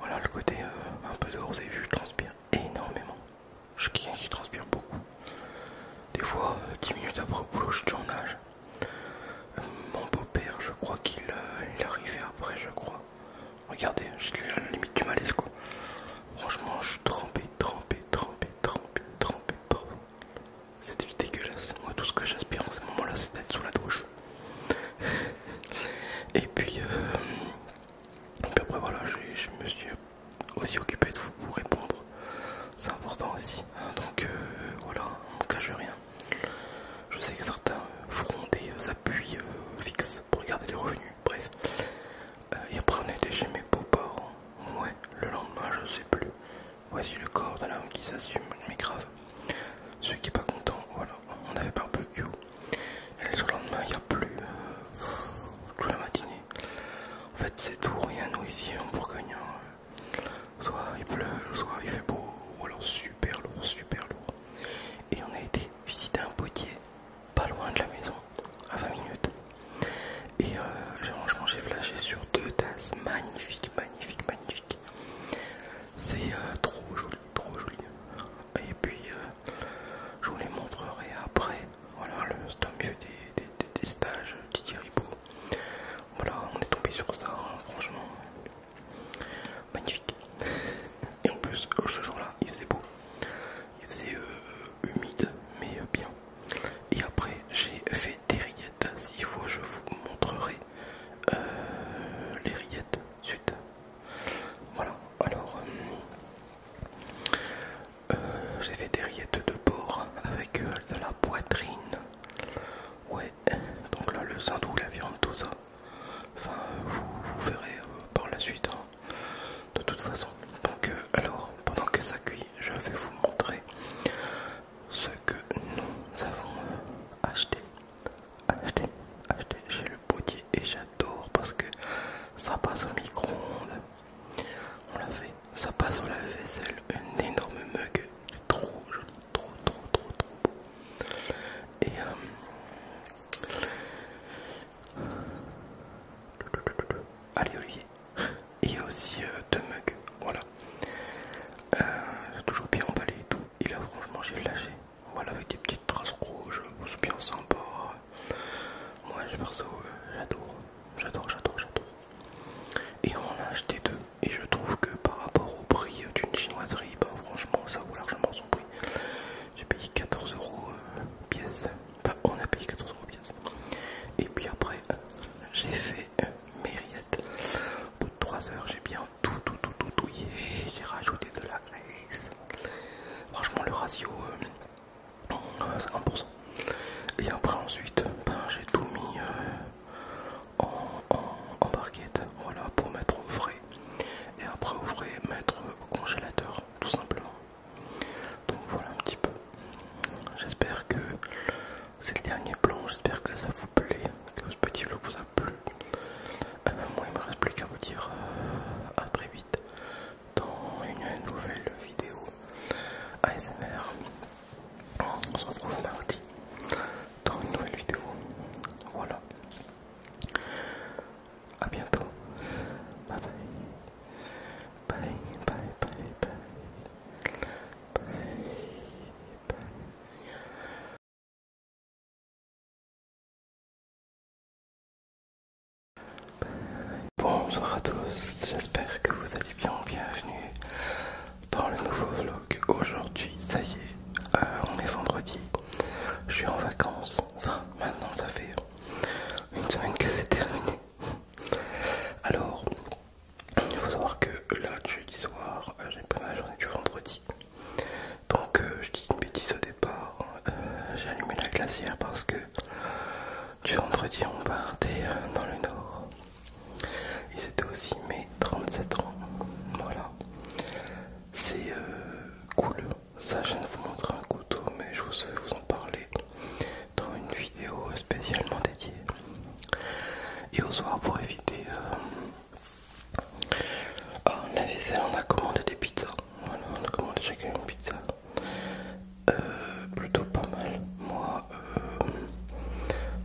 voilà le côté euh, un peu dehors, vous avez vu, je transpire énormément. Je suis quelqu'un qui transpire beaucoup. Des fois, 10 minutes après le boulot, je tourne nage. mon beau-père, je crois qu'il arrivait est après, je crois. Regardez, j'ai à la limite du malaise quoi. Franchement, je suis trempé, trempé, trempé, trempé, trempé, pardon. C'était dégueulasse. Moi, tout ce que j'aspire en ce moment-là, c'est d'être sous la douche. Et puis, euh, après, voilà, je me suis aussi occupé de vous répondre. C'est important aussi. Donc, euh, voilà, on ne cache rien. Je sais que certains feront des appuis euh, fixes pour garder les revenus. Bref. et après, on chez mes beaux-parents. Ouais, le lendemain, je sais plus. Voici le corps d'un homme qui s'assume, mais grave. Celui qui est pas content, voilà. On avait pas un peu eu, Et le lendemain, il n'y a plus. Euh, toute la matinée. En fait, c'est tout rien, nous, ici, en Bourgogne. Soit il pleut, soit il fait beau, ou alors super lourd, super lourd. Et on a été visiter un potier, pas loin de la maison, à 20 minutes. Et euh, j'ai franchement, j'ai flashé sur deux tasses magnifiques, magnifiques, magnifiques. C'est euh, trop joli, trop joli. Et puis euh, je vous les montrerai après. Voilà, le c'est un des, des, stages Thierry euh, Beau. Voilà, on est tombé sur ça, hein, franchement. Magnifique. Et en plus, oh, ce jour-là, il faisait beau. Il faisait humide, mais bien. Et après, j'ai fait des rides. Si S'il faut, je vous montrerai euh, les rillettes suite. Voilà, alors euh, euh, j'ai fait des rillettes de porc avec de la poitrine. Ouais, donc là, le sandou, la viande, tout ça. Enfin, vous, verrez par la suite, hein. de toute façon. Donc, alors, pendant que ça cuit, je vais vous montrer ce que nous avons acheté acheter, chez le potier et j'adore parce que ça passe au micro-ondes. On l'a fait, ça passe au lave-vaisselle, un énorme mug, trop joli, trop, trop, trop, trop beau. Et euh... allez Olivier, il y a aussi euh, deux mugs, voilà. Euh, toujours bien emballé et tout. Et là, franchement, j'ai lâché. Voilà, avec des petites traces rouges, c'est bien sympa. Moi, je perso, euh, j'adore, j'adore, j'adore, j'adore. Et on en a acheté deux. Et je trouve que par rapport au prix d'une chinoiserie, ben franchement, ça vaut largement son prix. J'ai payé 14 euros euh, pièce. Enfin, on a payé 14 euros pièce. Et puis après, j'ai fait euh, Mériette. Au bout de 3 heures, j'ai bien tout, tout, tout, tout, tout. J'ai rajouté de la glace. Franchement, le ratio, euh, euh, c'est 1%. Et après, ensuite, ben, j'ai tout mis euh, en, barquette, voilà, pour mettre au frais. Et après, au frais, mettre au congélateur, tout simplement. Donc voilà un petit peu. J'espère que c'est le dernier plan. J'espère que ça vous plaît, que ce petit vlog vous a plus. Euh, moi, il me reste plus qu'à vous dire euh, à très vite dans une nouvelle vidéo ASMR. On se retrouve mardi dans une nouvelle vidéo. Voilà. À bientôt. bye. Bye bye bye bye. Bye bye. Bonsoir à tous, j'espère que vous allez bien, bienvenue dans le nouveau vlog. Aujourd'hui, ça y est, euh, on est vendredi, je suis en vacances, enfin maintenant ça fait une semaine que c'est terminé. Alors, il faut savoir que là, jeudi soir, euh, j'ai pris ma journée du vendredi. Donc euh, je dis une bêtise au départ, euh, j'ai allumé la glacière parce que du vendredi on partait euh, dans le nord. Et c'était aussi mes 37 ans. Voilà. C'est cool. Ça je ne vous montrer un couteau mais je vous en parler dans une vidéo spécialement dédiée. Et au soir pour éviter ah, la on a commandé des pizzas. on a commandé chacun une pizza. Euh, plutôt pas mal. Moi, euh,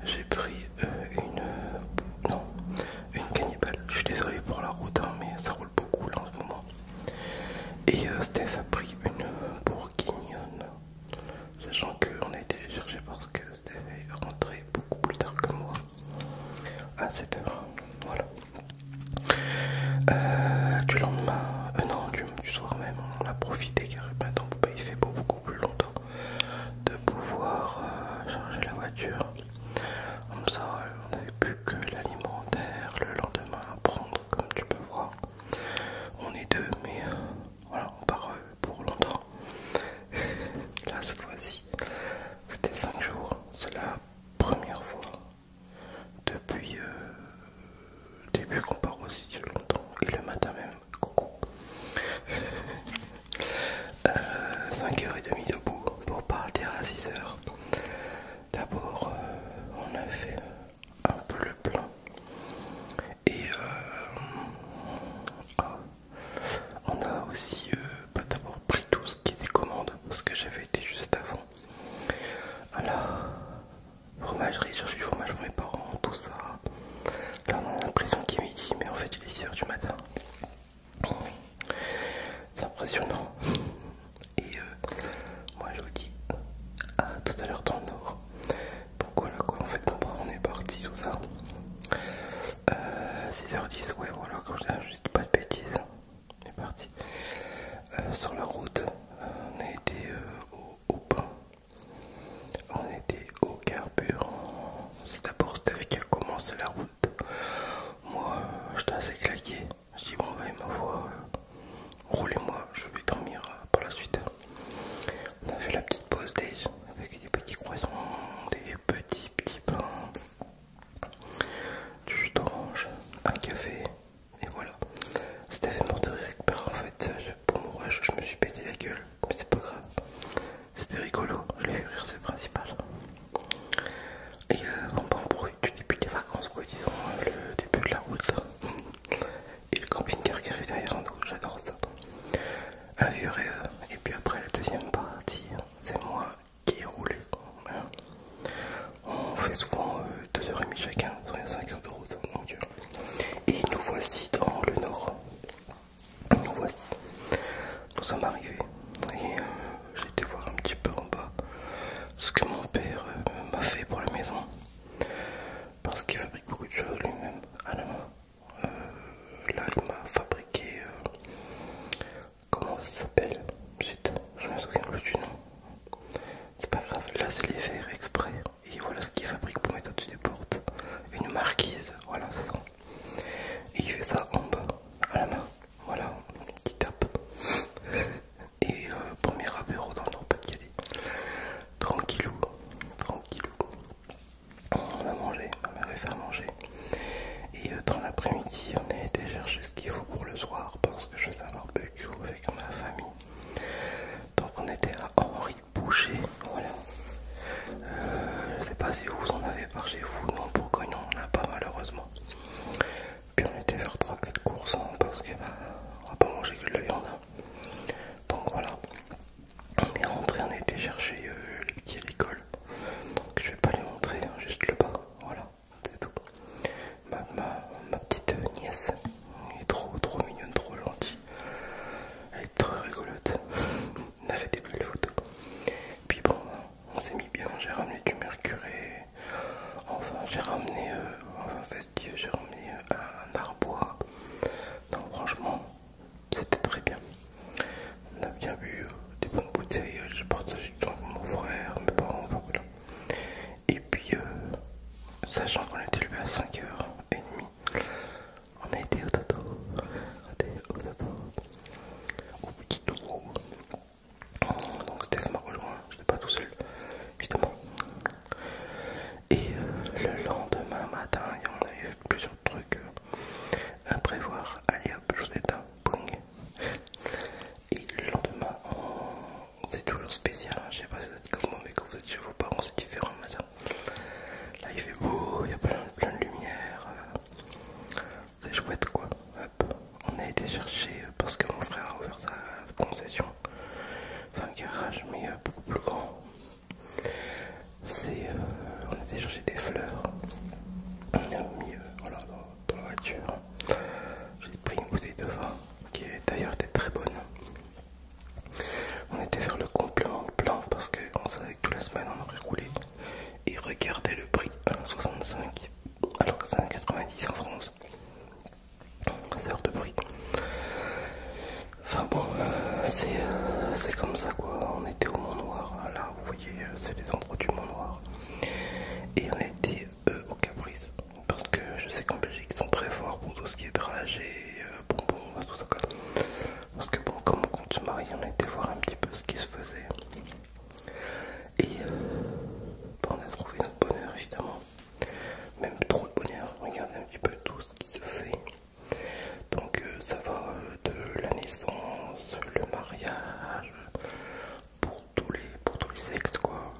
j'ai pris euh, une. non, une cannibale. Je suis désolé pour la route, hein, mais ça roule beaucoup là en ce moment. Et Steph a pris une bourguignonne. Sachant qu'on a été chercher parce que Steph est rentré beaucoup plus tard que moi à 7h. Ah, voilà. Euh, du lendemain, euh, non, du, soir même, on a profité car maintenant il fait beaucoup plus longtemps de pouvoir euh, charger la voiture. Comme ça, on n'avait plus que l'alimentaire le lendemain à prendre, comme tu peux voir. On est deux, mais voilà, on part pour longtemps. [laughs] Là, cette fois-ci, c'était 5 jours. C'est la première fois depuis le euh, début qu'on part aussi longtemps. Et le matin même. Coucou. 5h30 [laughs] euh, debout pour partir à 6h. D'abord, euh, on a fait un peu le plein. Et ah, on a aussi pas euh, bah, d'abord pris tout ce qui était commande, parce que j'avais été juste avant à la fromagerie, chercher du fromage pour mes parents, tout ça. Là on a l'impression qu'il est midi, mais en fait il est 6h du matin. C'est impressionnant. Et euh, moi je vous dis à tout à l'heure dans le nord. Donc quoi, en fait, on est parti, tout ça. 6h10, euh, ouais, voilà, quand je dis pas de bêtises, on est parti. Euh, sur la route, on a été euh, au, pain, on était au carburant. C'est d'abord Steph qui a commencé la route. Moi, je j'étais assez claqué. Je dis, bon, va bah, il me voit roulez-moi, je vais dormir par la suite. On a fait la petite pause déj avec des petits croissants, des petits petits pains, du jus d'orange, un café, et voilà. C'était fait mort de récupérer en fait. Pour mon rush, je me suis pété la gueule, mais c'est pas grave. C'était rigolo, je l'ai fait rire, c'est le principal. Et euh, on en du début des vacances, quoi, disons, euh, le début de la route. Et le camping-car qui arrive derrière nous, j'adore ça. Un vieux rêve. Et puis après la deuxième partie, c'est moi qui est roulé. On fait souvent 2h30 euh, demie chacun, 5 h de route, Et nous voici dans le nord. Nous voici. Nous sommes arrivés. Et euh, j'ai été voir un petit peu en bas ce que mon père euh, m'a fait pour la maison. Parce qu'il fabrique beaucoup de choses lui-même à la main. là il m'a fabriqué Comment ça s'appelle je me souviens plus du nom. C'est pas grave, là c'est les faire exprès. Et voilà ce qu'il fabrique pour mettre au-dessus des portes. Une marquise, voilà Et il fait ça en bas, à la main. Voilà, Qui tape. Et euh, premier apéro dans le Nord-Pas-de-Calais. Tranquillou, tranquillou on a mangé, on a fait manger. Et euh, dans l'après-midi, on est été chercher ce qu'il faut pour le soir parce que je faisais un barbecue avec ma famille. Donc on était à Henri Boucher, voilà. Euh, je sais pas si vous en avez par chez vous, non, pourquoi non, on a pas malheureusement. Puis on était faire 3-4 courses hein, parce qu'on bah, va pas manger que de la hein. Donc voilà, on est rentré, on a été chercher euh, les petits à l'école donc je vais pas les montrer, hein, juste le bas, voilà, c'est tout. Ma, petite nièce, elle est trop trop mignonne, trop gentille, elle est trop rigolote, On [laughs] a fait des belles photos. Puis bon, on s'est mis bien, j'ai ramené du mercure enfin j'ai ramené, euh, j'ai euh, un arbois. Non franchement, c'était très bien. On a bien bu euh, des bonnes bouteilles, euh, Je porte du mon frère, mes parents, Et puis, euh, sachant qu'on était levé à 5h30, on a été au dodo. au Au petit dodo. Donc c'était m'a rejoint, je n'étais pas tout seul, évidemment. Et le lendemain matin, on avait plusieurs trucs à prévoir. Allez hop, je vous et le lendemain, c'est toujours spécial. Hein. Je sais pas si vous êtes comme moi, mais quand vous êtes chez vos parents, c'est différent Là, il fait beau, il y a plein, de lumière. Euh, c'est chouette quoi. On a été chercher euh, parce que mon frère a ouvert sa concession. Enfin, garage, mais euh, beaucoup plus grand. C'est. on a été chercher des fleurs. Euh, dans, la voiture. J'ai pris une bouteille de vin qui d'ailleurs très bonne. On était vers le complément blanc parce qu'on savait que toute la semaine on aurait roulé et regardez le prix 1,65 hein, alors que c'est 1,90 en France. C'est de prix. Enfin bon, euh, euh, c'est comme ça quoi. On était au Mont Noir, euh, c'est les endroits du Mont Noir. Et on a été euh, au Caprice, parce que je sais qu'en Belgique ils sont très forts pour tout ce qui est dragé, et euh, tout ça Parce que bon, comme on compte se marier, on a été voir un petit peu ce qui se faisait. Et bah, on a trouvé notre bonheur évidemment. Même trop de bonheur, regardez un petit peu tout ce qui se fait. Donc ça va de la naissance, le mariage, pour tous les pour les sexes quoi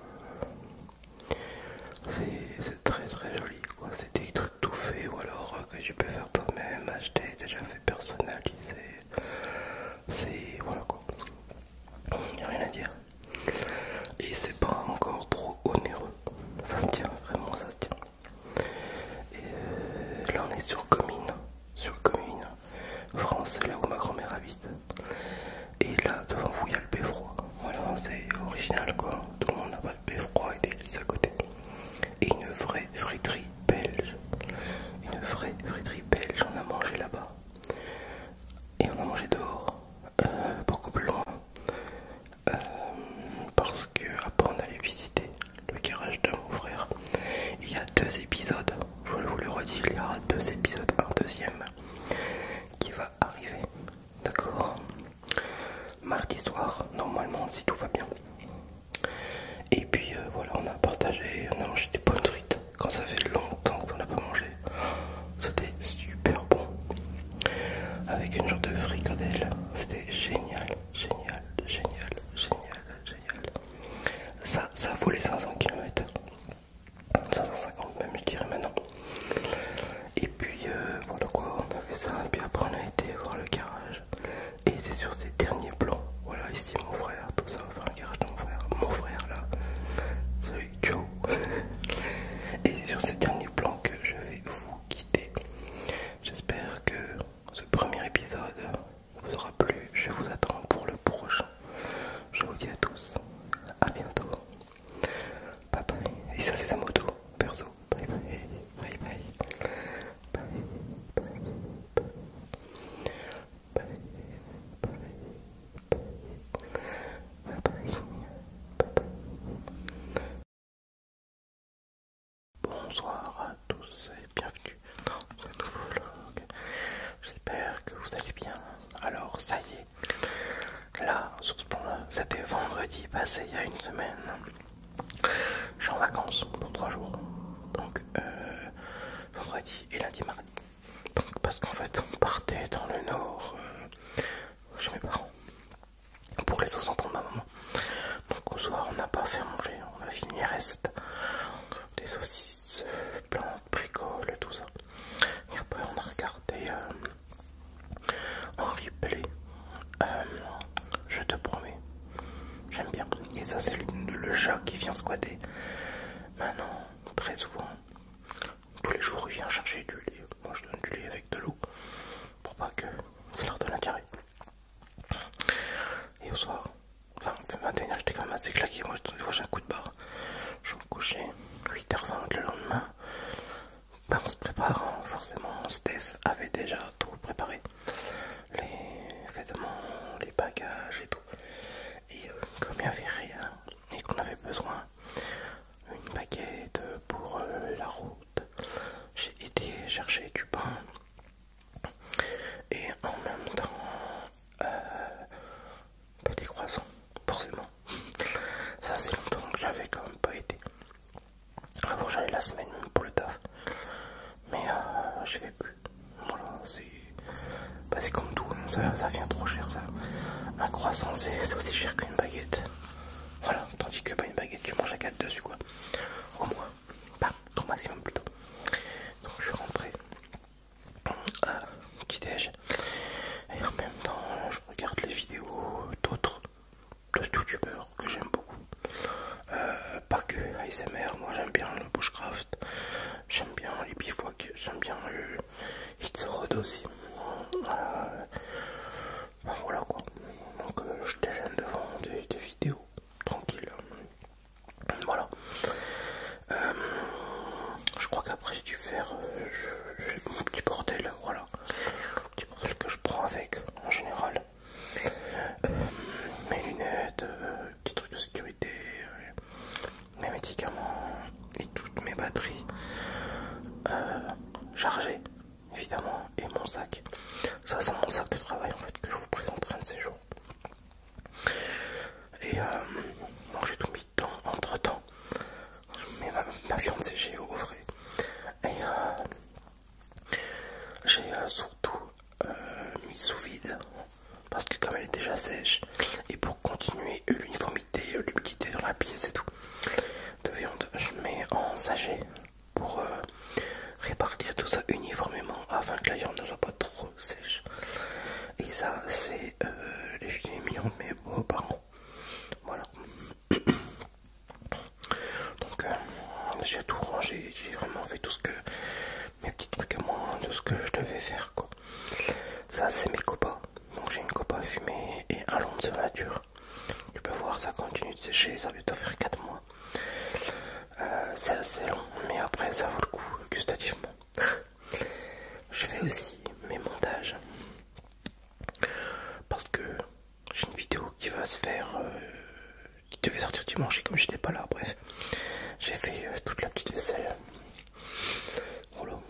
c'est très très joli quoi c'est des trucs tout faits ou alors euh, que tu peux faire toi même acheter déjà fait personnalisé, c'est voilà quoi il rien à dire et c'est pas encore trop onéreux ça se tient vraiment ça se tient et euh, là on est sur commune sur commune France, là où ma grand-mère habite. Et là, devant vous, il y a le beffroi. Voilà, c'est original quoi. Tout le monde a pas le beffroi et des lits à côté. Et une vraie friterie belge. Une vraie friterie belge, on a mangé là-bas. Et on a mangé dehors, euh, beaucoup plus loin. Euh, parce que après on allait visiter le garage de mon frère. Il y a deux épisodes, je vous le redis, il y aura deux épisodes, un deuxième qui va arriver, d'accord Mardi soir, normalement, si tout va bien. Et puis euh, voilà, on a partagé, on a mangé des bonnes frites quand ça fait longtemps qu'on n'a pas mangé. C'était super bon. Avec une genre de fricadelle, c'était génial, génial, génial, génial, génial, ça, ça vaut les 500 km. 550 même je dirais maintenant. Et puis euh, voilà quoi, on a fait ça. Et puis après on a été voir le garage. Et c'est sur ces derniers plans. Voilà ici mon frère, tout ça, faire le garage de mon frère. Mon frère là. Salut, Joe, Et c'est sur ces derniers plans que je vais vous quitter. J'espère que ce premier épisode vous aura plu. Je vous attends pour le prochain. Je vous dis à tous, à bientôt. Bye bye. Et ça, c'est sa moto, perso. Bye bye. Bye bye. Bye bye. Bye bye. Bye bye. Bye bye. Bonsoir à tous et bienvenue dans ce nouveau vlog. J'espère que vous allez bien. Alors, ça y est, là, sur ce plan-là, c'était vendredi passé il y a une semaine. Je suis en vacances pour trois jours. Donc, euh, vendredi et lundi, mardi. Donc, parce qu'en fait, on partait dans le nord euh, chez mes parents pour les 60 ans de ma maman. Donc, au soir, on n'a pas fait manger, on a fini les restes des saucisses plantes, bricoles, tout ça. Et après, on a regardé euh, en replay. Euh, je te promets, j'aime bien. Et ça, c'est le, chat qui vient squatter. Maintenant, très souvent, tous les jours, il vient chercher du lait. Moi, je donne du lait avec de l'eau pour pas que ça leur donne un Et au soir, Enfin, matin j'étais quand même assez claqué. Moi, j'ai un coup de barre. Je me couchais 8h20 le lendemain. Ben, on se préparant, hein. forcément. Steph avait déjà tout préparé les vêtements, les bagages et tout. Et euh, comme il n'y avait rien et qu'on avait besoin, une baguette pour euh, la route, j'ai été chercher du pain et en même temps euh, petit croissant forcément ça c'est longtemps que j'avais quand même pas été avant j'allais la semaine pour le taf mais euh, je vais plus voilà c'est comme tout hein, ça, vient trop cher ça un croissant c'est aussi cher qu'une baguette voilà tandis que pas une baguette tu manges à 4 dessus quoi au moins pas bah, au maximum plutôt donc je suis rentré euh, qui petit et en même temps je regarde les vidéos d'autres youtubeurs que j'aime beaucoup euh, pas que ASMR moi j'aime bien le bushcraft j'aime bien les bivouacs j'aime bien le hits Road aussi euh, voilà quoi donc je déjeune devant des, vidéos tranquilles. Voilà. Euh, je crois qu'après j'ai dû faire euh, mon petit bordel. Voilà. petit bordel que je prends avec en général. Euh, mes lunettes, petits trucs de sécurité, mes médicaments et toutes mes batteries chargées évidemment et mon sac. Ça c'est mon sac de travail en fait que je vous présenterai de ces jours. Et euh, j'ai tout mis temps entre temps. Je mets ma, viande séchée au frais. Et euh, j'ai euh, surtout mis sous vide parce que comme elle est déjà sèche et pour continuer l'uniformité, l'humidité dans la pièce et tout de viande, je mets en sachet pour répartir tout ça uniformément afin que la viande ne soit pas trop sèche. Et ça, c'est euh, les millions de mes beaux-parents. Voilà. [coughs] Donc, euh, j'ai tout rangé. J'ai vraiment fait tout ce que mes petits trucs à moi, tout ce que je devais faire. quoi Ça, c'est mes copains Donc, j'ai une copa fumée et un long de sa nature. Tu peux voir, ça continue de sécher. Ça va bientôt faire 4 mois. Euh, c'est assez long, mais après, ça vaut le coup gustativement je fais aussi mes montages parce que j'ai une vidéo qui va se faire euh, qui devait sortir dimanche et comme je n'étais pas là bref j'ai fait euh, toute la petite vaisselle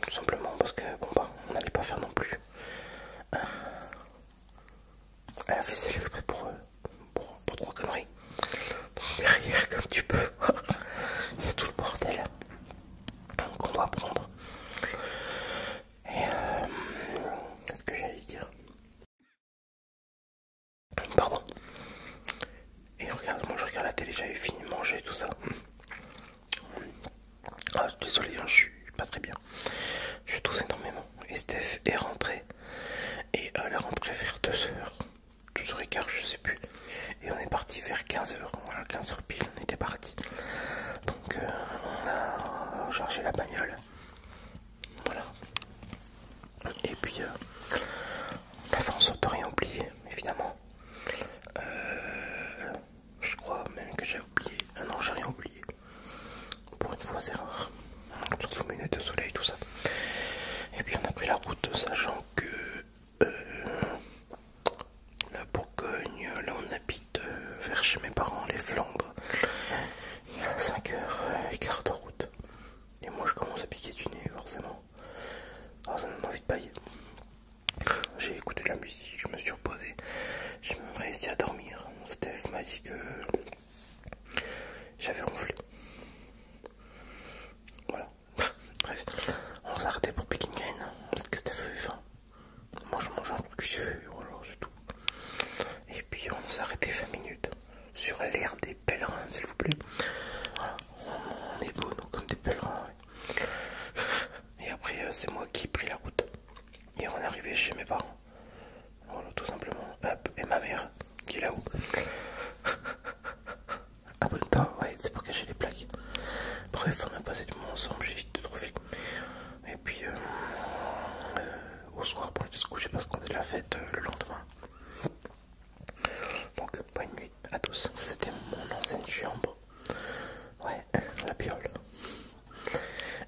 tout simplement parce que bon bah on n'allait pas faire non plus euh, la vaisselle exprès pour, eux pour trois conneries. derrière, comme tu peux, [laughs] il y a tout le bordel qu'on doit prendre. Et euh, qu'est-ce que j'allais dire Pardon. Et regarde, moi je regarde la télé, j'avais fini de manger tout ça. Ah, désolé, hein, je suis pas très bien. Je tousse énormément. Et Steph est rentré Et elle euh, est rentrée vers 2 heures. 12h15, je sais plus. Et on est parti vers 15h. Voilà, 15h pile, on était parti. Donc euh, on a chargé la bagnole. Voilà. Et puis euh, la France n'a rien oublié, évidemment. Euh, je crois même que j'ai oublié. un ah non, j'ai rien oublié. Pour une fois, c'est rare. de soleil, tout ça. Et puis on a pris la route, sachant que euh, la Bourgogne, là on habite euh, vers chez mes parents, les Flandres. Il y a 5 h quart de route. Et moi je commence à piquer du nez forcément. Alors ah, ça me donne envie de pailler. J'ai écouté de la musique, je me suis reposé. J'ai même réussi à dormir. Steph m'a dit que j'avais ronflé. Voilà. Bref, on s'est arrêté pour Peking Gain parce que c'était feu Moi je mange un truc voilà, c'est tout. Et puis on s'est arrêté 20 minutes sur l'air des pèlerins, s'il vous plaît. on, est beau, nous, comme des pèlerins. Et après, euh, c'est moi qui ai pris la route. Et on est arrivé chez mes parents. Voilà, tout simplement. et ma mère, qui est là-haut. Abonne-toi, ah ouais, c'est pour cacher les plaques. Bref, on a passé du temps ensemble, j'ai vite de trop Et puis, euh, euh, au soir, on va se coucher parce qu'on est la fête euh, le lendemain. Donc, bonne nuit à tous. C'était mon ancienne chambre. Ouais, la piole.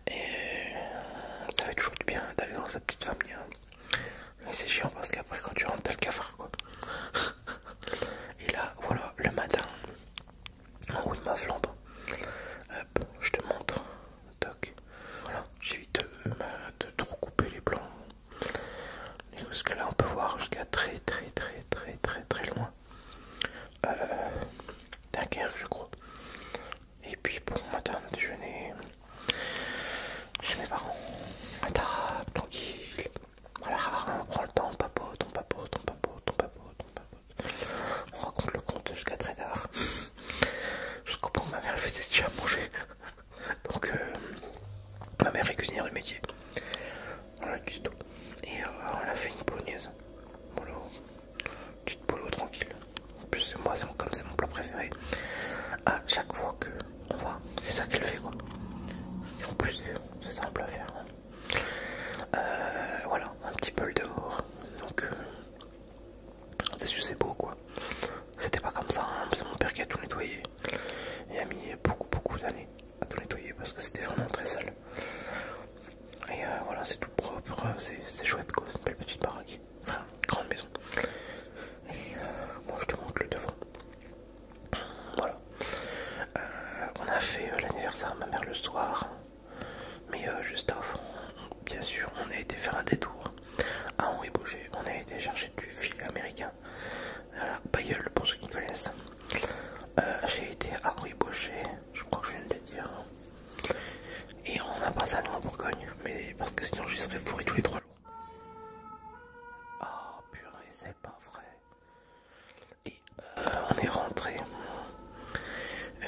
Et ça fait toujours du bien d'aller dans sa petite famille. Hein c'est chiant parce qu'après quand tu rentres t'as le cafard quoi. Et là voilà le matin en ah haut flambe. Hop, je te montre. Toc. Voilà, j'évite de, euh, de, trop couper les blancs Parce que là on peut voir jusqu'à très très très très très très loin. Euh, Dunkerque je crois. Et puis pour bon, matin déjeuner chez mes parents. À tranquille. Voilà, on prend le temps, on papote, on papote, on papote, on papote, on papote. On raconte le compte jusqu'à très tard. Jusqu'au point où ma mère faisait déjà manger. Donc euh, ma mère est cuisinière du métier. On a cuit tout. Et euh, on a fait une polonaise. Polo. Petite polo tranquille. En plus moi comme c'est mon plat préféré. À chaque fois que c'est ça qu'elle fait quoi. Et en plus, c'est simple à faire. Euh, voilà, un petit peu le dehors. Donc, euh, c'est beau quoi. C'était pas comme ça, hein. c'est mon père qui a tout nettoyé. Il a mis beaucoup, beaucoup d'années à tout nettoyer parce que c'était vraiment très sale. Et euh, voilà, c'est tout propre, c'est chouette C'est une belle petite baraque, enfin, grande maison. Et je te montre le devant. Voilà. Euh, on a fait euh, l'anniversaire à ma mère le soir. Mais euh, juste avant, bien sûr, on a été faire un détour à Henri Boucher. On a été chercher du fil américain. Voilà, pour ceux qui connaissent. J'ai été à Henri Boucher, je crois que je viens de le dire. Et on a passé à nous en Bourgogne, mais parce que sinon je serais fourri tous les trois Oh purée, c'est pas vrai. Et euh, on est rentré. Euh,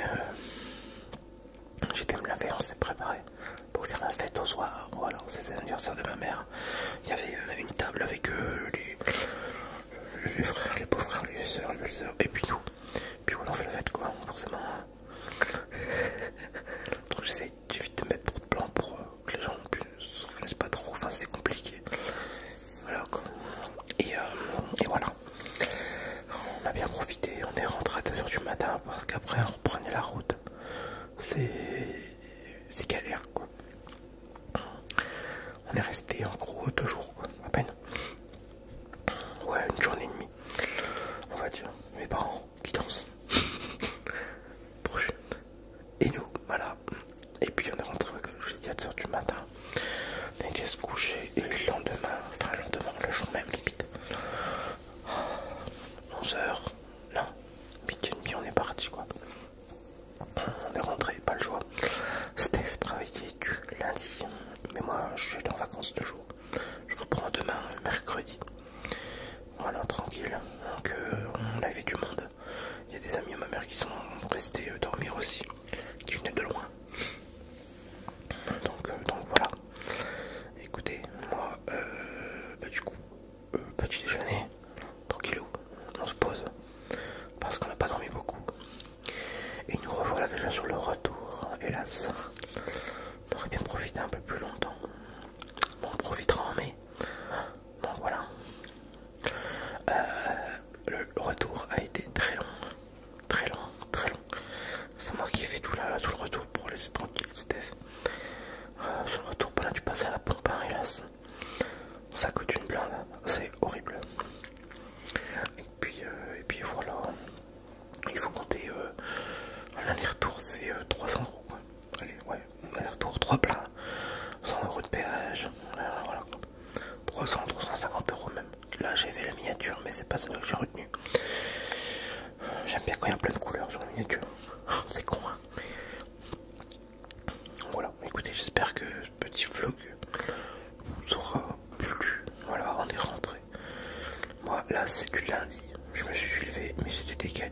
j'étais me laver, on s'est préparé pour faire la fête au soir. alors c'est l'anniversaire de ma mère. Il y avait euh, une table avec eux, les, frères, les beaux frères, les soeurs, les et puis nous. Puis on en fait la fête quoi, forcément. Donc j'essaie de mettre te de blanc pour les gens ne se connaissent pas trop, enfin c'est compliqué. Voilà, Et, euh, et voilà, on a bien profité, on est rentré à 2h du matin parce qu'après on reprenait la route. C'est galère quoi. On est resté en gros deux jours quoi, à peine. Ouais, une journée et demie. On va dire, mes parents qui dansent. [laughs] Prochaine et nous, voilà. Et puis on est rentré, je les à h du matin, on se coucher et le lendemain, enfin le lendemain, le jour même limite, 11h, non, midi et demi, on est parti quoi. On est rentré, pas le choix. Steph travaillait du lundi, mais moi je suis en vacances toujours. Je reprends demain, euh, mercredi. Voilà, tranquille. Donc, euh, on vie du monde. Il y a des amis à ma mère qui sont restés euh, dormir aussi, qui venaient de loin. Donc, euh, voilà. Écoutez, moi, bah, du coup, petit déjeuner, tranquillou, on se pose parce qu'on n'a pas dormi beaucoup. Et nous revoilà déjà sur le retour, hélas. On aurait bien profité un peu plus longtemps. Bon, on profitera en mai. Bon voilà. Euh, le retour a été très long, très long, très long. C'est moi qui ai fait tout, le retour pour laisser tranquille Steph. Euh, ce retour, plein là, tu passes à la pompe, hein, hélas. Ça coûte une blinde, c'est horrible. Et puis, euh, et puis voilà, il faut compter euh, retour c'est 300 euros. Allez, aller-retour, 3 plats, 100 euros de péage, voilà, 300, 350 euros même. Là j'ai fait la miniature, mais c'est pas celle que j'ai retenue. J'aime bien quand il y a plein de couleurs sur la miniature, [laughs] c'est con. Hein. voilà, écoutez, j'espère que ce petit vlog vous aura plu. Voilà, on est rentré. Moi, là, c'est du lundi. Je me suis levé, mais des décalé.